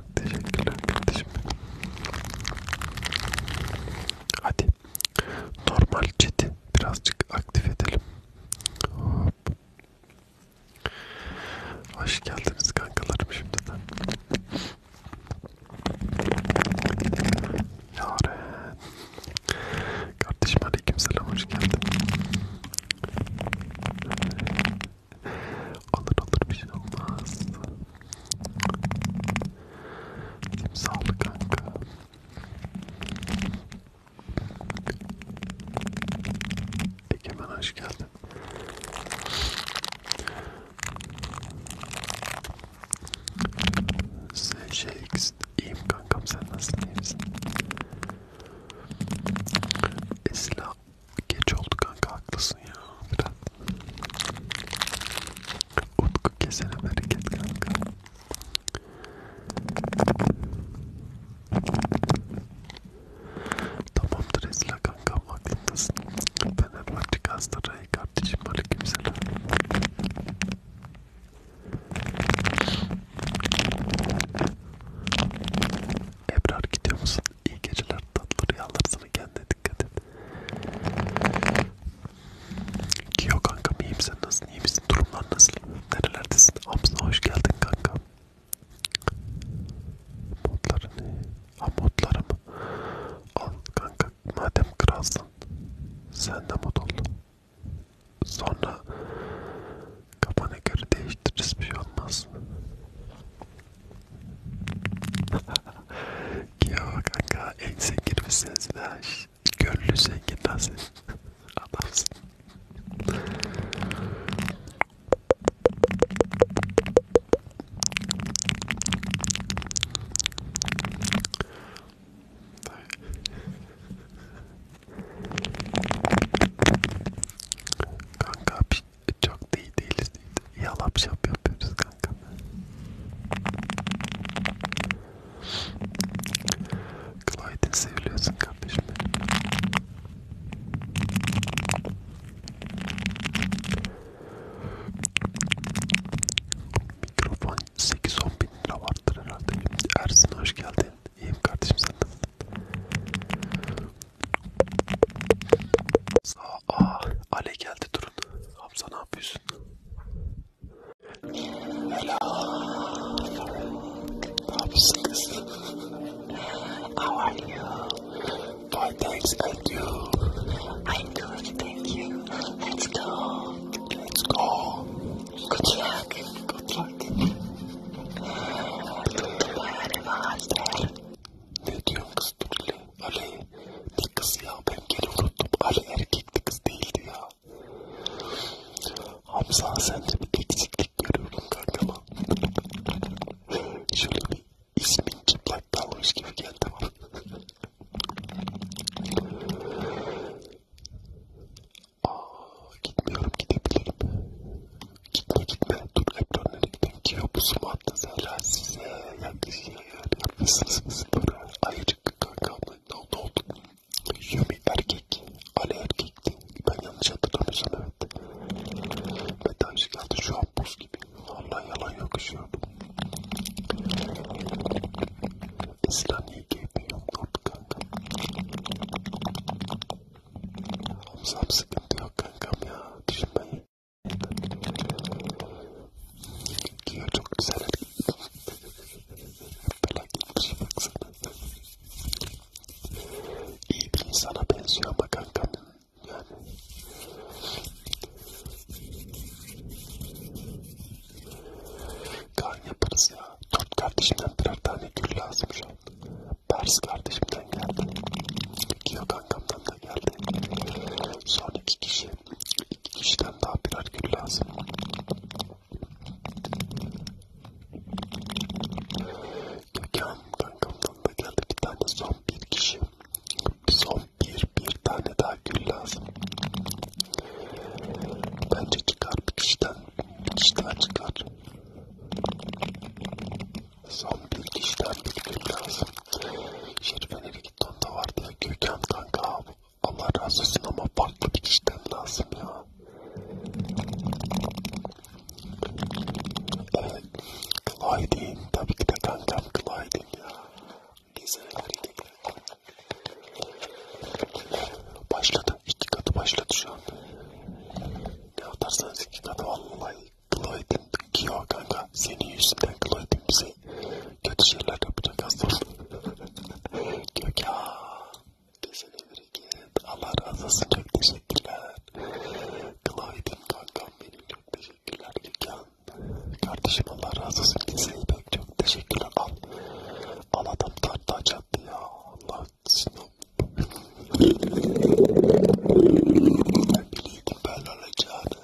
çok teşekkürler kardeşim. Hadi normal chat'i birazcık aktif edelim. Hop. Hoş geldiniz kankalarım şimdiden. Yaren. Kardeşim aleyküm selam hoş geldin. Alır alır bir şey olmaz. Sağlık kanka. Egemen hoş geldin. Sen şey iyiyim kankam sen nasıl iyi misin? Esla Geç oldu kanka haklısın ya biraz. Utku kesene bereket kanka. Tamamdır Esra kanka aklındasın. Fenerbahçe Galatasaray kardeşim aleykümselam. Ebrar gidiyor musun? İyi geceler tatlı rüyalar sana kendine dikkat et. Kiyo kankam iyiyim sen nasılsın? İyi misin? Durumlar nasıl? Nerelerdesin? Hamza hoş geldin kanka. Modları ne? Ha modları mı? Al kanka madem kralsın sen de mod ol. Sonra kafana göre değiştiririz bir şey olmaz. Yo kanka en zengin misiniz Naş? Gönlü zengin nasıl? Adamsın. Kanka bir çok da iyi değiliz. Yalap şap yapıyoruz kanka. Clyde'in seviliyorsun kardeşim. Mikrofon 8-10 bin lira vardır herhalde. Ersin hoş geldin. İyiyim kardeşim sen nasılsın? Ah, Ali geldi durun. Hamza ne yapıyorsun? Hello. Ne yapıyorsun kız? How are you? Fine thanks and you? I'm good thank you. Let's go. Let's go. Good luck. Good luck. Ne diyorsun kız Tuğle? Ali ne kız ya ben geri unuttum. Ali erkekli kız değildi ya. Hamza sen de bir eksiklik görüyorum kankama. Şöyle bir ismin çıplak kalmış gibi geldi bana. Aa, gitmiyorum gidebilirim. Gitme gitme dur ekranlara gidelim ki yapısı madde zela size yakışır. Nasılsınız? Ayıcık kanka abla ne oldu? Yumi erkek. Ali erkekti. Ben yanlış hatırlamıyorsam evet. Meta geldi şu an buz gibi. Vallahi yalan yok şu an. Esra niye keyfin yok ne oldu kanka? Hamzam sıkıntı yok kankam ya. Düşünmeyin. Giyiyor çok güzel. Felaket bir şey baksana. İyi bir insana benziyor ama kankanın yani. Kan yaparız ya. Dört kardeşimden birer tane gül lazım şu an. Pers kardeşimden geldi. Kilo kankamdan da geldi. Son iki kişi. İki kişiden daha birer gül lazım. Gökhan kankamdan da geldi. Bir tane son bir kişi. Son bir, bir tane daha gül lazım. Bence çıkar bir kişiden. Bir kişi daha çıkar. Son bir kişiden bir gül lazım. Şerif Enerik Ekipten de vardı. Gökhan kanka Allah razı olsun ama farklı bir kişiden lazım ya. Evet. Clyde'in. Tabii ki de kankam Clyde'in ya. Gezene geri Başladı. iki katı başladı şu an. Ne atarsanız iki katı vallahi Cloyd'in giyiyor kanka. Senin yüzünden Cloyd'in bize kötü şeyler yapacak aslında. Gökhan. Desene bir git. Allah razı olsun. Çok teşekkürler. Cloyd'in kankam benim. Çok teşekkürler Gökhan. Kardeşim Allah razı olsun. Desene pek çok teşekkürler. Al. Al adam tartı açattı ya. Allah sinan. ben biliyordum ben alacağını.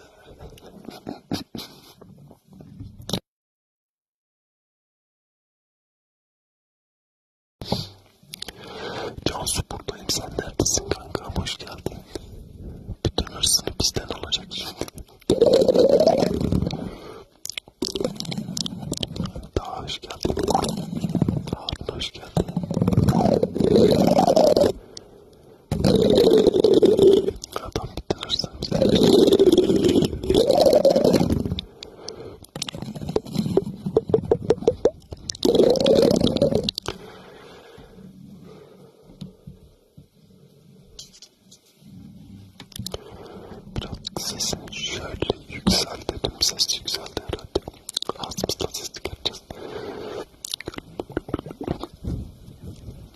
Cansu buradayım sen neredesin kanka hoş geldin. Bütün hırsını bizden alacak şimdi. Daha hoş geldin. Harun hoş geldin. Adam bitti Biraz sesini şöyle yükseltelim. Ses yükseldi herhalde. Ağzımızdan ses tüketeceğiz.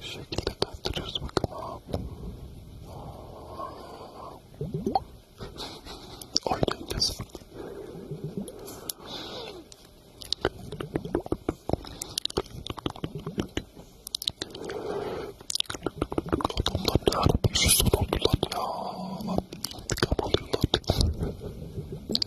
Şu şekilde kaydırıyoruz bakın. Oynayacağız. Adamlar ne ara bir şey oldular ya. İntikam alıyorlar.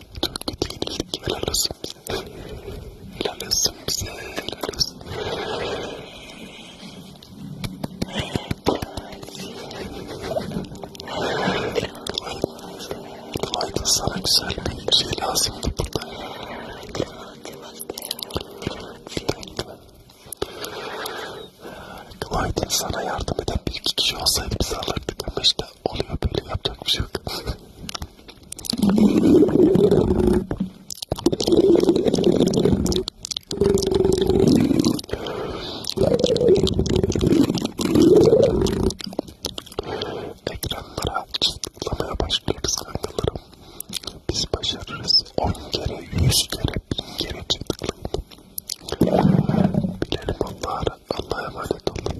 Çok kötü yenildik. Helal olsun bize. Helal olsun bize. Helal olsun. Kolaydı sana güzel bir şey lazımdı burada. Kolaydı sana yardım eden bir iki kişi olsaydı biz alırdık ama işte oluyor böyle yapacak bir şey yok. Ekranlara çıtlamaya başlıyoruz kankalarım. Biz başarırız. 10 kere, 100 kere, 1000 kere çıtlayın. Bilelim Allah'a, Allah'a emanet olun.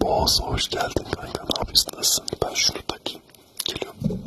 Boğaz hoş geldin kanka. Ne yapıyorsun? Nasılsın? Ben şunu takayım. Geliyorum.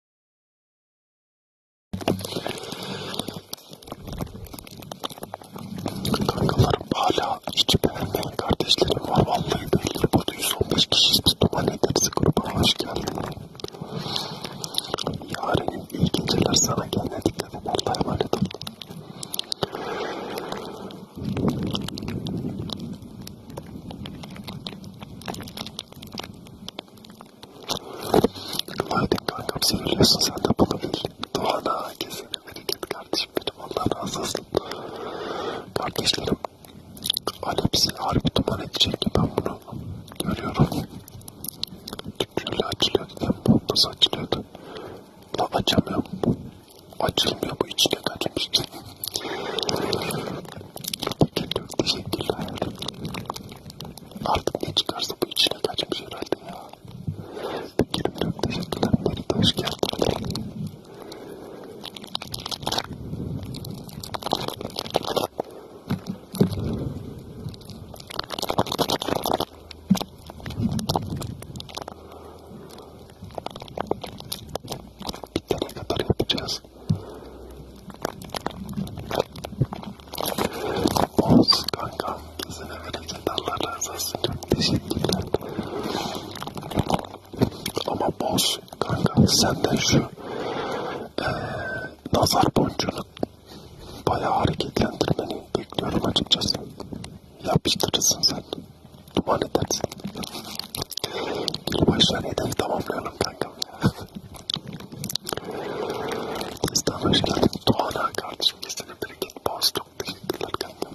Kankalarım hala hiç beğenmeyen kardeşlerim var. Vallahi belli bu 115 kişiyiz biz duman ederiz gruba hoş geldin. Yarenim iyi geceler sana kendine dikkat et. Allah'a emanet ol. Aydın kankam seviyorsun sen de bunu bil. Doğana herkese bereket kardeşim benim Allah razı olsun. Kardeşlerim Alepsi harbi duman edecek ben bunu görüyorum. Tükürle açılıyordu ben bu nasıl açılıyordu. La açamıyorum bu. Açılmıyor bu içine kaçmış. Teşekkürler. Artık ne çıkarsa bu içine kaçmış herhalde ya. Bekir'im çok teşekkürler. Beni de hoş geldin. Bitene kadar yapacağız. Olsun kankam. Kesene bereket. Allah razı olsun. Çok teşekkürler. Ama boz kanka senden şu ee, nazar boncuğunu bayağı hareketlendirmeni bekliyorum açıkçası. Yapıştırırsın sen. Duman edersin. Yılbaşlarını hedef tamamlayalım kankam ya. Destan hoş geldin. Doğan kardeşim kesene bereket. Boğaz çok teşekkürler kanka.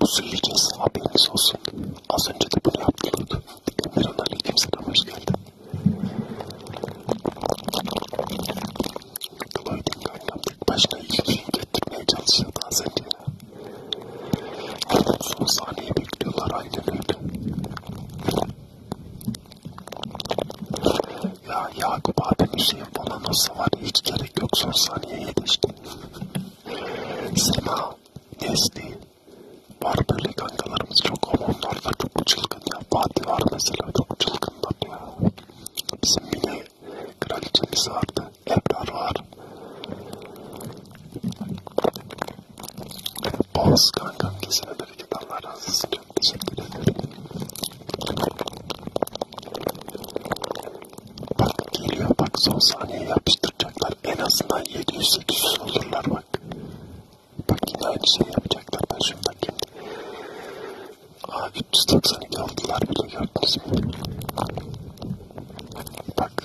Bu söyleyeceğiz. Haberiniz olsun. Az önce de bunu yaptılar. Kameradan aleyküm selam hoş geldin. Kıvaydın kankam tek başına ilgiyi şey getirmeye çalışıyordu az önce. Son saniye bekliyorlar aynen öyle. Ya Yakup abi Hüseyin falan olsa var hiç gerek yok son saniyeye yetişti. Sema, Nesli, var böyle kankalarımız çok ama onlar da çok çılgın ya. Fatih var mesela çok çılgınlar ya. Bizim yine kraliçemiz vardı yapıyorlar. Boz kankam kesene bereket Allah razı olsun. Çok teşekkür ederim. Bak geliyor bak son saniye yapıştıracaklar. En azından 700-800 olurlar bak. Bak yine aynı şey yapacaklar. Ben şunu takayım. Aa 392 aldılar bile gördünüz mü? Bak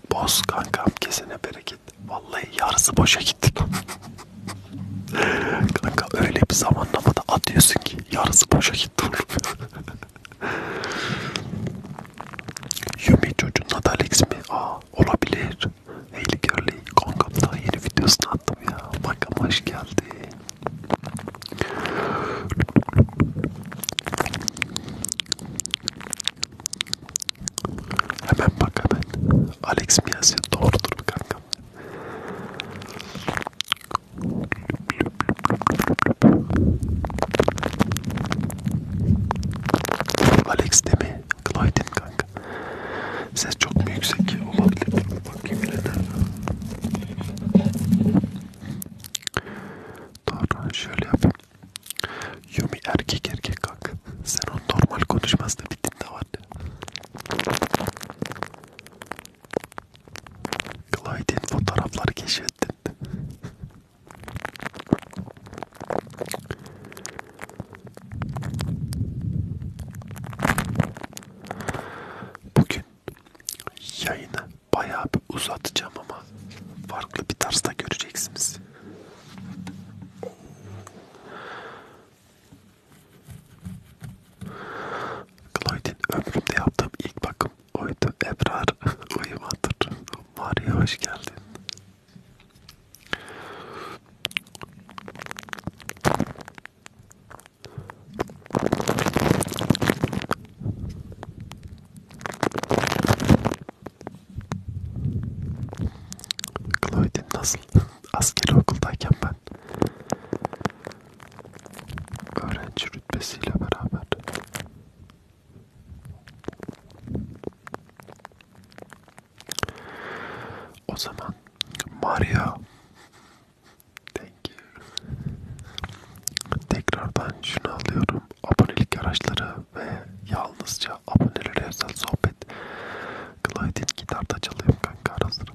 Boz kankam kesene bereket. Vallahi yarısı boşa gittik. Kanka öyle bir zamanlamada atıyorsun ki yarısı boşa gitti Yumi çocuğun adı Alex mi? Aa olabilir. Hayley Gurley kankam daha yeni videosunu attım ya. Kankam hoş geldi. Hemen bak hemen. Alex mi yazıyor? Doğrudur mu kanka? Alex de mi? Clyde'in kanka. Ses çok mu yüksek? Olabilir. Bakayım neden. Doğru. Şöyle yapayım. Yumi erkek erkek kalk. Sen onu normal konuşmazda bir dinde var ya. Clyde'in fotoğrafları keşfettim. Bugün yayını bayağı bir uzatacağım ama farklı bir tarzda göreceksiniz. Cloyd'in ömrümde yaptığım ilk bakım oydu. Ebrar uyumadır. Maria hoş geldin. Chloe'nin nasıl askeri okuldayken ben öğrenci rütbesiyle beraber o zaman Maria Thank you. Tekrardan şunu alıyorum. Abonelik araçları ve yalnızca abonelere özel sohbet. Clyde'in gitarda çalıyorum kanka ara sıra.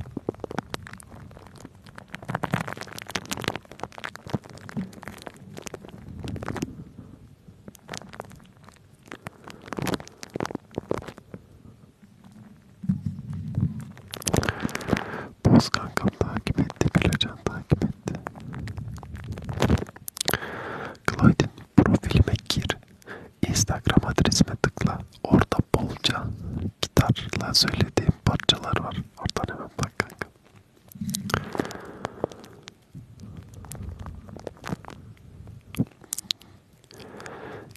Boz kankam takip etti, Bilecan takip etti. Clyde'in Profilime gir. Instagram adresime tıkla. Orada bolca gitarla söylediğim parçalar var. Oradan hemen bak kanka.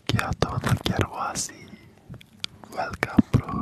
Kiyatona Kervasi. Welcome bro.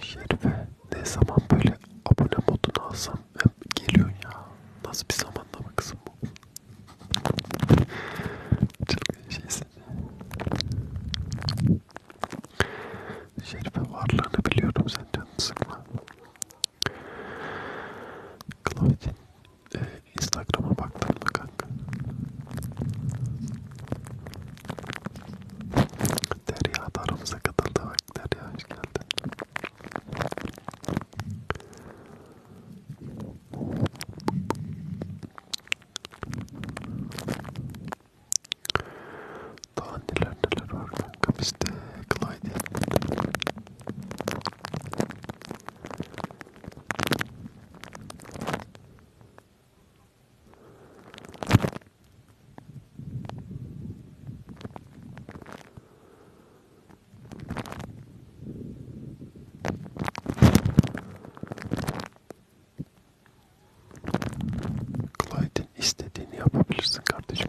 Şerife ne zaman böyle abone modunu alsam hep geliyorsun ya. Nasıl bir zamanlama kızım bu? Çok şeysin. Şerife varlığını biliyorum sen canını sıkma. Klavetin e, Instagram'a baktın mı kanka? Derya da aramıza katıldı. Bak Derya hoş geldin. Daha neler neler var kanka bizde Clyde Clyde'in istediğini yapabilirsin kardeşim.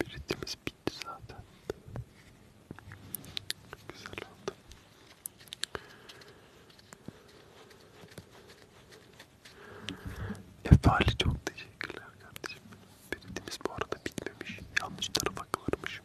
Biritimiz bitti zaten. Güzel oldu. Efali çok teşekkürler kardeşim. Biritimiz bu arada bitmemiş. Yanlış tarafa kıvırmışım.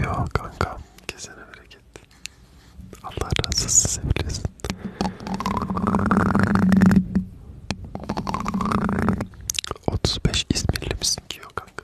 Yo kanka kesene bereket. Allah razı olsun sevgilisin. Otuz beş İzmirli misin ki yok kanka?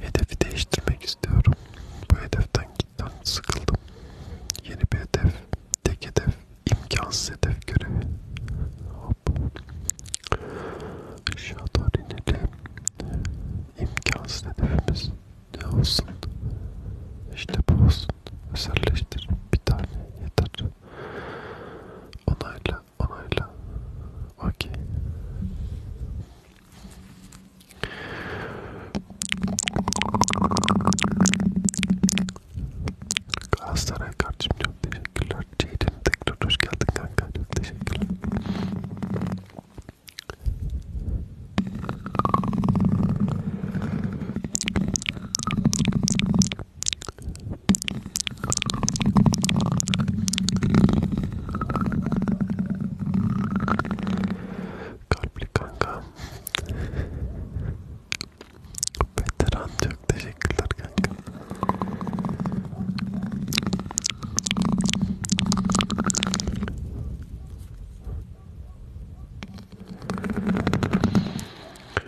Hedefi değiştirmek istiyorum. Bu hedeften gitten sıkıldım. Yeni bir hedef, tek hedef, imkansız hedef görevi. Hop. Şadorineli imkansız hedefimiz ne olsun? İşte bu olsun. Özelleştir. Bir tane yeter. Onayla Anayla. Okey. Galatasaray kardeşim çok teşekkürler. Ceydin tekrar hoş geldin kanka. Çok teşekkürler. Kalpli kanka. Veteran çok teşekkürler kanka.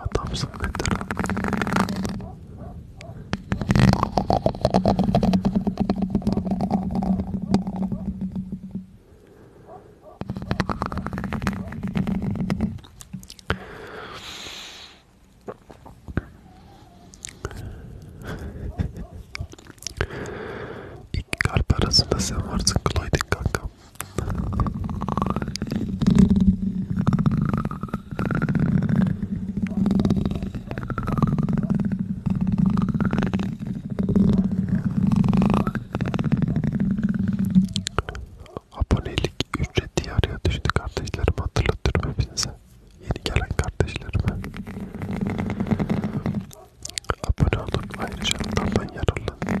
Adamsın nedir? İki kalp arasında sen varsın Clyde'in kankam. Abonelik ücreti yarıya düştü kardeşlerim hatırlatırım hepinize. Yeni gelen kardeşlerime. Abone olun ayrıca ondan yararlanın.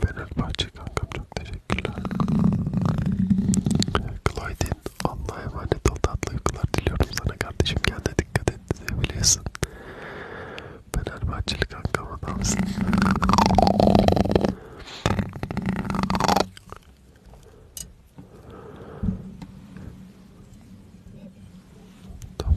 Fenerbahçe kankam çok teşekkürler. Clyde'in Allah'a emanet ol tatlı uykular diliyorum sana kardeşim. Kendine dikkat et sevgiliyesin. Fenerbahçeli kankam adamsın. Tamam.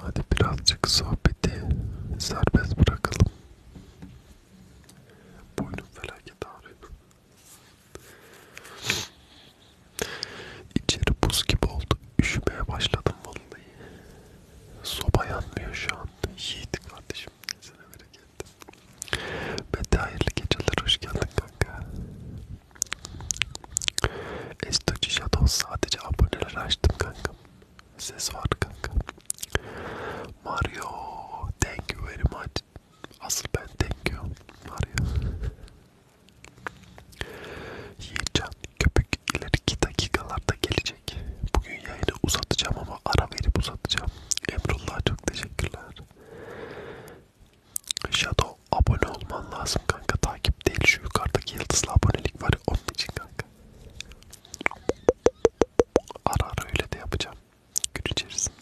Hadi birazcık sohbeti serbest bırakalım. Boynum felaket ağrıyor. İçeri buz gibi oldu. Üşümeye başladım vallahi. Soba yanmıyor şu an. Yiğit kardeşim. Sana bereket. Mete hayırlı geceler. Hoş geldin kanka. Estoji Shadow sadece aboneleri açtım kanka. Ses var kanka. Mario thank you very much. Asıl ben thank you Mario. Yiğitcan köpük ileriki dakikalarda gelecek. Bugün yayını uzatacağım ama ara verip uzatacağım. Emrullah çok teşekkürler. Shadow abone olman lazım kanka takip takip değil şu yukarıdaki yıldızlı abonelik var ya, onun için kanka. Ara ara öyle de yapacağım gün içerisinde.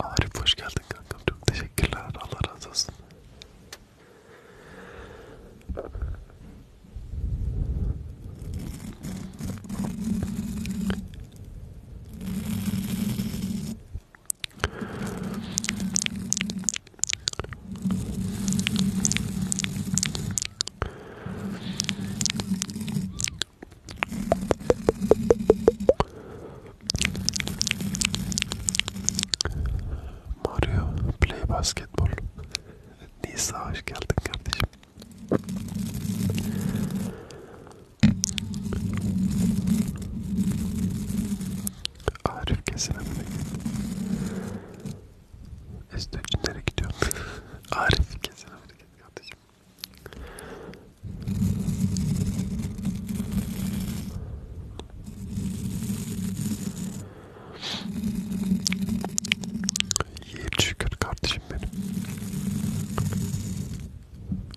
Arif hoş geldin kankam çok teşekkürler Allah razı olsun. Mario Play Basketbol Nisa hoş geldin kardeşim Arif kesin amına Esnacı nereye gidiyor? Arif kesin amına gidiyor kardeşim. Yiyip şükür kardeşim benim.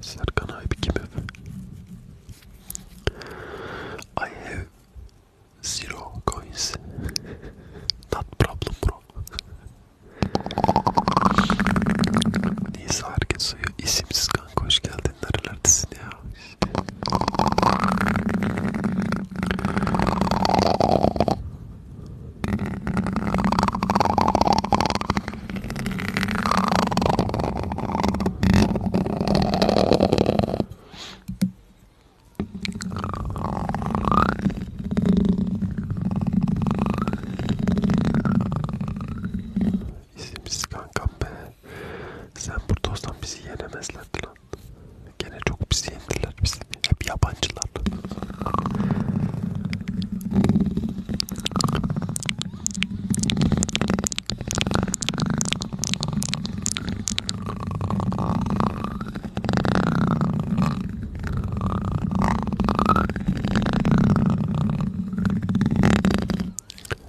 Serkan abi kim ev? I have zero coins. Not problem bro. Neyse herkes suyu isimsiz kanka hoş geldin nerelerdesin ya. İsimsiz siis kankam be. Sen burada olsan bizi yenemezlerdi lan. Gene çok bizi yendiler biz. Hep yabancılar.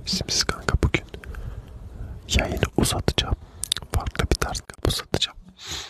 Şimdi kanka bugün yayını uzatacağım. Farklı bir tarz uzatacağım.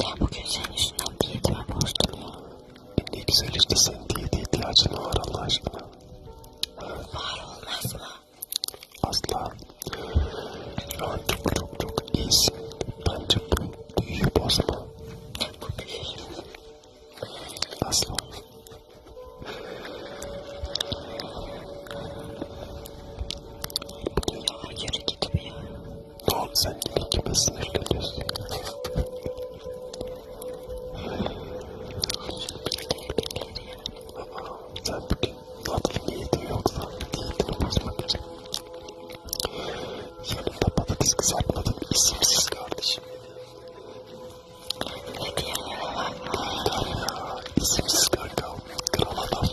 Ben bugün senin yüzünden diyetime bozdum ya. Ne güzel işte senin diyete ihtiyacın var Allah aşkına. Var olmaz mı? Asla. Şu an çok çok çok iyisin. Bence bu büyüyü bozma. Bu büyüyü. Asla. Ya yürü gitme ya. Doğan sen gibi kime sinirleniyorsun? sen bugün tatlım iyiydi yoksa diyetini bozmak için. Yanımda patates kızartmadım isimsiz kardeşim dedi. İsimsiz karga kral adam.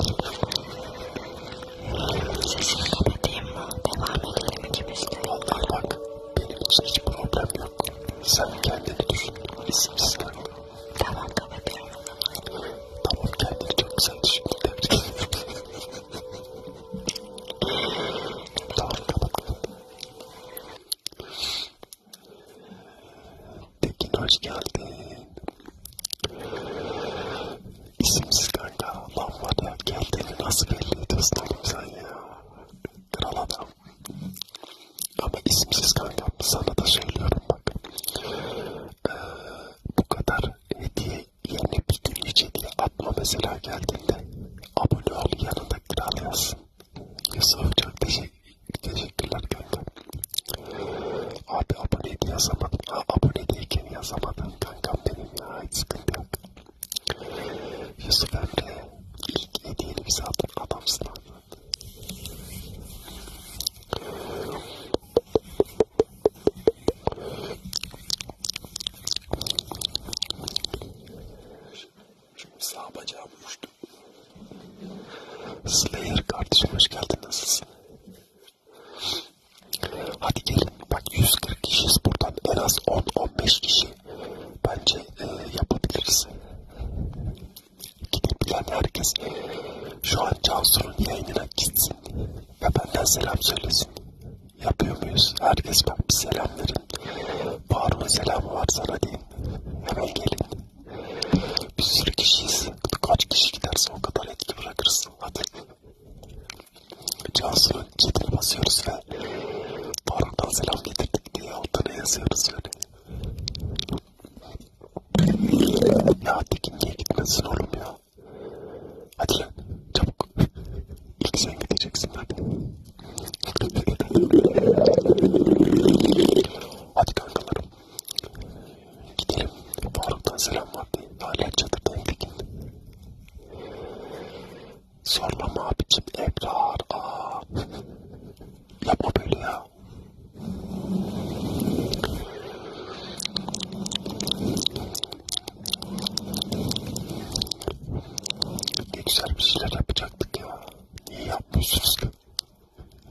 Sesini kapatayım mı? Devam edelim ikimiz de. Valla bak benim için hiç problem yok. Sen kendini düşün. İsimsiz karga. Tamam kapatıyorum o zaman. Tamam kendini çok güzel düşün. Tebrik ederim. tamam kapat kapat. Tekin hoş geldin. İsimsiz kanka lambada geldiğini nasıl belliydi ıslanım sen ya. Kral adam. Ama isimsiz kanka sana da söylüyorum bak. Ee, bu kadar hediye yerine bir gün hiç hediye atma mesela geldiğinde. Abone ol yanında kral yazsın. Yusuf çok teşekkür, teşekkürler kanka. Abi aboneydi yazamadım. Ha abone değilken yazamadım kankam benim ya hiç sıkıntı yok. Yusuf Emre ilk hediyeni bize attın adamsın abi. Şimdi sağ bacağım uçtu. Slayer kardeşim hoş geldin nasılsın? Hadi gelin bak 140 kişiyiz buradan en az 10-15 kişi bence e, yapabiliriz. Gidebilen herkes şu an Cansu'nun yayınına gitsin ve benden selam söylesin. Yapıyor muyuz? Herkes bak bir selam verin. Bahar'ın selamı var sana deyin. Hemen gelin. Bir sürü kişiyiz. Kaç kişi giderse o kadar etki bırakırız. Hadi. Cansu'nun chatine basıyoruz ve Faruk'tan selam getirdik diye altına yazıyoruz yani. Ya Tekin niye gitmesin oğlum ya? Hadi lan çabuk. İlk sen gideceksin hadi. hadi kankalarım. Gidelim. Faruk'tan selam vardı. Hala çadırda evdekin. Sorma abicim Ebrar. Aa. Yapma böyle ya. Ne güzel bir şeyler yapacaktık ya. Niye yapmıyorsunuz ki?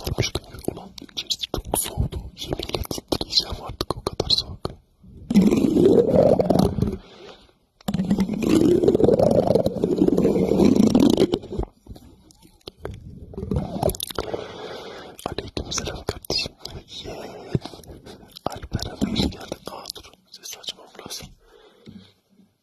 Dolmuştan ulan içerisi çok soğudu. Yeminle titriyeceğim artık o kadar soğuk. Aleykümselam kardeşim. Yeah. Alper abi hoş geldin. Aa dur. Ses açmam lazım.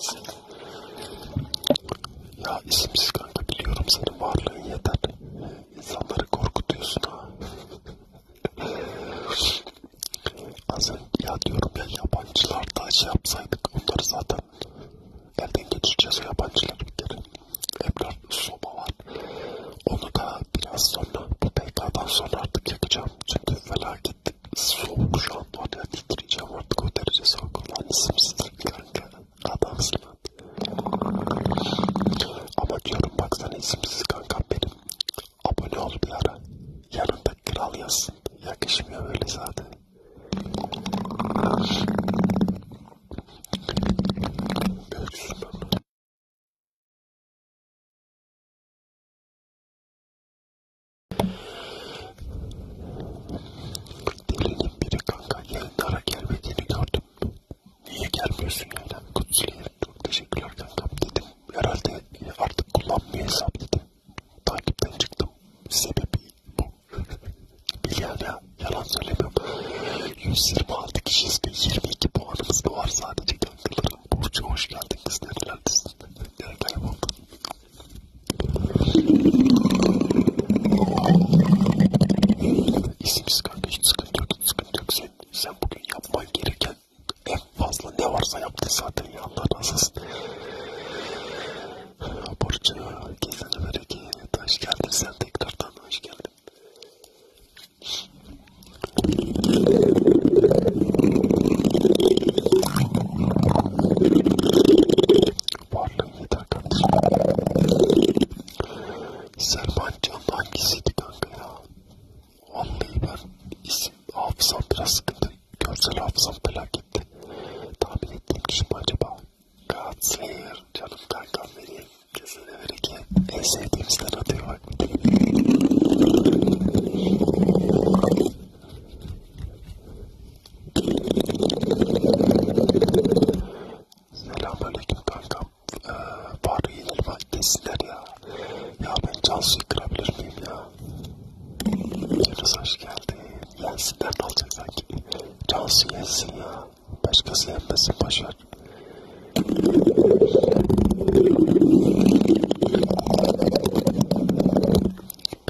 Seni. Ya isimsiz kanka biliyorum senin varlığın yeter. İnsanları korkutuyorsun ha. Bazen ya diyorum ya yabancılar da şey yapsaydık onları zaten elden geçireceğiz o yabancıları bir kere. Ebrar soba var. Onu da biraz sonra bu PK'dan sonra artık yakacağım. Çünkü felaket soğuk şu an var ya titreyeceğim artık o derece soğuk olan isimsizlik ya kanka. Adamsın lan. Ama diyorum baksana isimsiz kankam benim. Abone ol bir ara. Yanında kral yazsın. Yakışmıyor böyle zaten. Öksün ben. Delinin biri kanka yayınlara gelmediğini gördüm. Niye gelmiyorsun yani? Kutsuyum. Çok teşekkürler kankam dedim. Herhalde artık kullanmıyor hesap dedi. Takipten çıktım. Sebebi bu. Bil yani yalan söylemiyorum. 126 kişiyiz ve 22 puanımız da var sadece kankalarım. Burcu hoş geldin kız dediler. Nerede kayboldun? İyisiniz kanka hiç sıkıntı yok hiç sıkıntı yok. Sen, sen bugün yapman gereken en fazla ne varsa yaptın zaten ya Allah razı olsun. Burcu gezene bereket. Hoş geldin sen tekrardan hoş geldin varlığın yeter kardeşim. Selman Can'da hangisiydi kanka ya? Vallahi ben isim hafızam biraz sıkıntı. Görsel hafızam felaketti. Tahmin ettiğim kişi mi acaba? Godslayer canım kankam benim. Kesene bereket. En sevdiğimizden atıyor bak. Selamünaleyküm kankam. Ee, bari yenilme kesinler ya. Ya ben Cansu'yu kırabilir miyim ya? Yunus hoş geldin. Yensinler ne olacak sanki? Cansu yensin ya. Başkası yenmesin başar.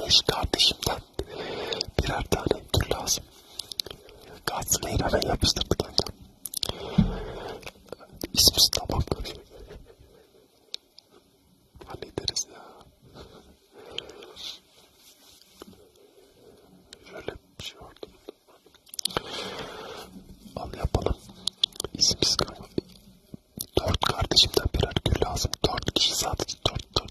Beş kardeşimden birer tane tür lazım. Gatsı'nı hemen yapıştırdı kanka. İsmisi tamam. Hallederiz ya. Şöyle bir şey vardı. Al yapalım. İsimsiz kanka. Dört kardeşimden birer gül lazım. Dört kişi sadece dört dört.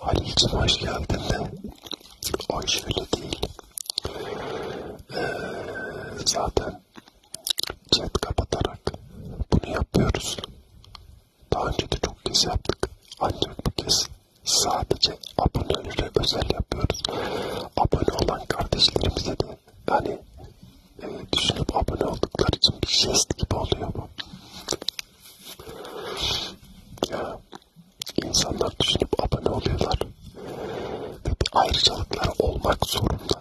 Halil'cim hoş geldin de o iş öyle değil. Ee, zaten chat kapatarak bunu yapıyoruz. Daha önce de çok kez yaptık. Ancak bu kez sadece abonelere özel yapıyoruz. Abone olan kardeşlerimize de hani e, düşünüp abone oldukları için bir jest gibi oluyor bu. Ya, insanlar düşünüp abone oluyorlar. Ve bir ayrıcalıkları olmak zorunda.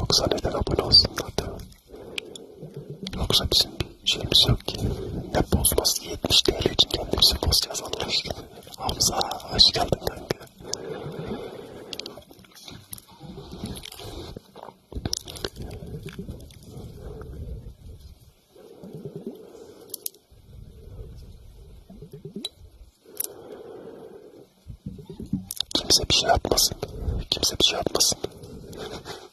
Yoksa neden abone olsunlar değil mi? Yoksa bizim bir şeyimiz yok ki. Ne bozması 70 TL için kendimizi bozacağız Allah aşkına. Hamza hoş geldin kanka. Kimse bir şey atmasın. Kimse bir şey atmasın.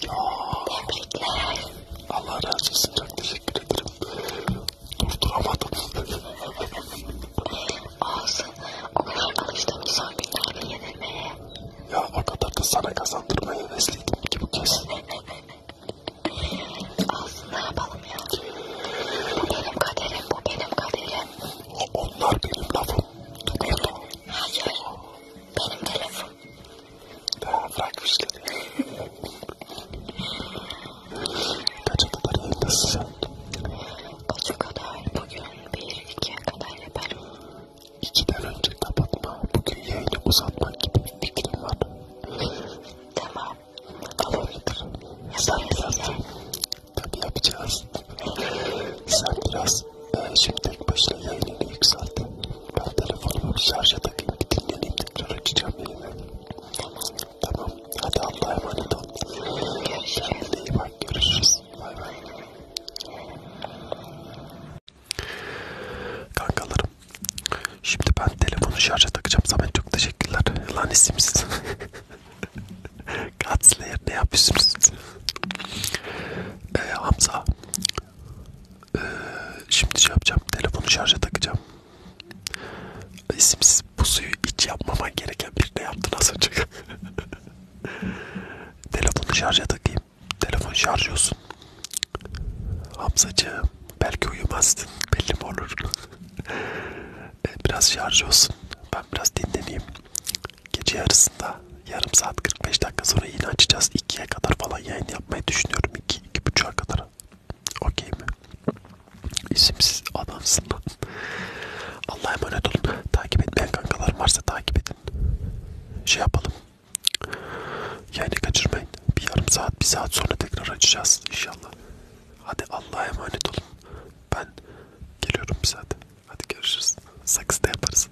Tebrikler. Allah razı olsun. Çok teşekkür ederim. Durduramadım. Olsun. O kadar alıştım son günlerde yenilmeye. Ya o kadar da sana kazandırmaya hevesliydim ki bu kez. Olsun ne yapalım ya. Bu benim kaderim. Bu benim kaderim. Onlar benim lafım. Hayır. Benim de lafım. Daha farklı işleri. Kaça kadar yayındasın sen? Kaça kadar? Bugün 1-2'ye kadar yaparım. 2'den önce kapatma. Bugün yayını uzatmak gibi bir fikrim var. tamam. Olabilir. Sen biraz da... Tabii yapacağız. sen biraz... E, şimdi tek başına yayını yükselt. Ben telefonumu bir şarja takayım. Bir dinleneyim tekrar açacağım yayını. Tamam. Tamam. Hadi Allah'a emanet ol. Görüşürüz. Kendine iyi bak. Görüşürüz. Bay bay. Kankalarım. Şimdi ben telefonu şarja takacağım. Samet çok teşekkürler. Lan isimsiz. Katslayer ne yapıyorsunuz? Ee, Hamza ee, şimdi şey yapacağım. Telefonu şarja takacağım. İsimsiz bu suyu hiç yapmaman gereken bir ne yaptın az önce. Telefonu şarja takayım. Telefon şarj olsun. Hamzacığım belki uyumazdın. Belli mi olur? E, biraz şarj olsun. Ben biraz dinleneyim. Gece yarısında yarım saat 45 dakika sonra yine açacağız. 2'ye kadar falan yayın yapmayı düşünüyorum. 2-2.30'a kadar. Okey mi? İsimsiz adamsın lan. Allah'a emanet olun. Takip etmeyen kankalar varsa takip edin. Şey yapalım. Yayını kaçırmayın. Bir yarım saat, bir saat sonra tekrar açacağız inşallah. Hadi Allah'a emanet olun. Ben geliyorum bir saat. Hadi görüşürüz. Saksı da yaparız.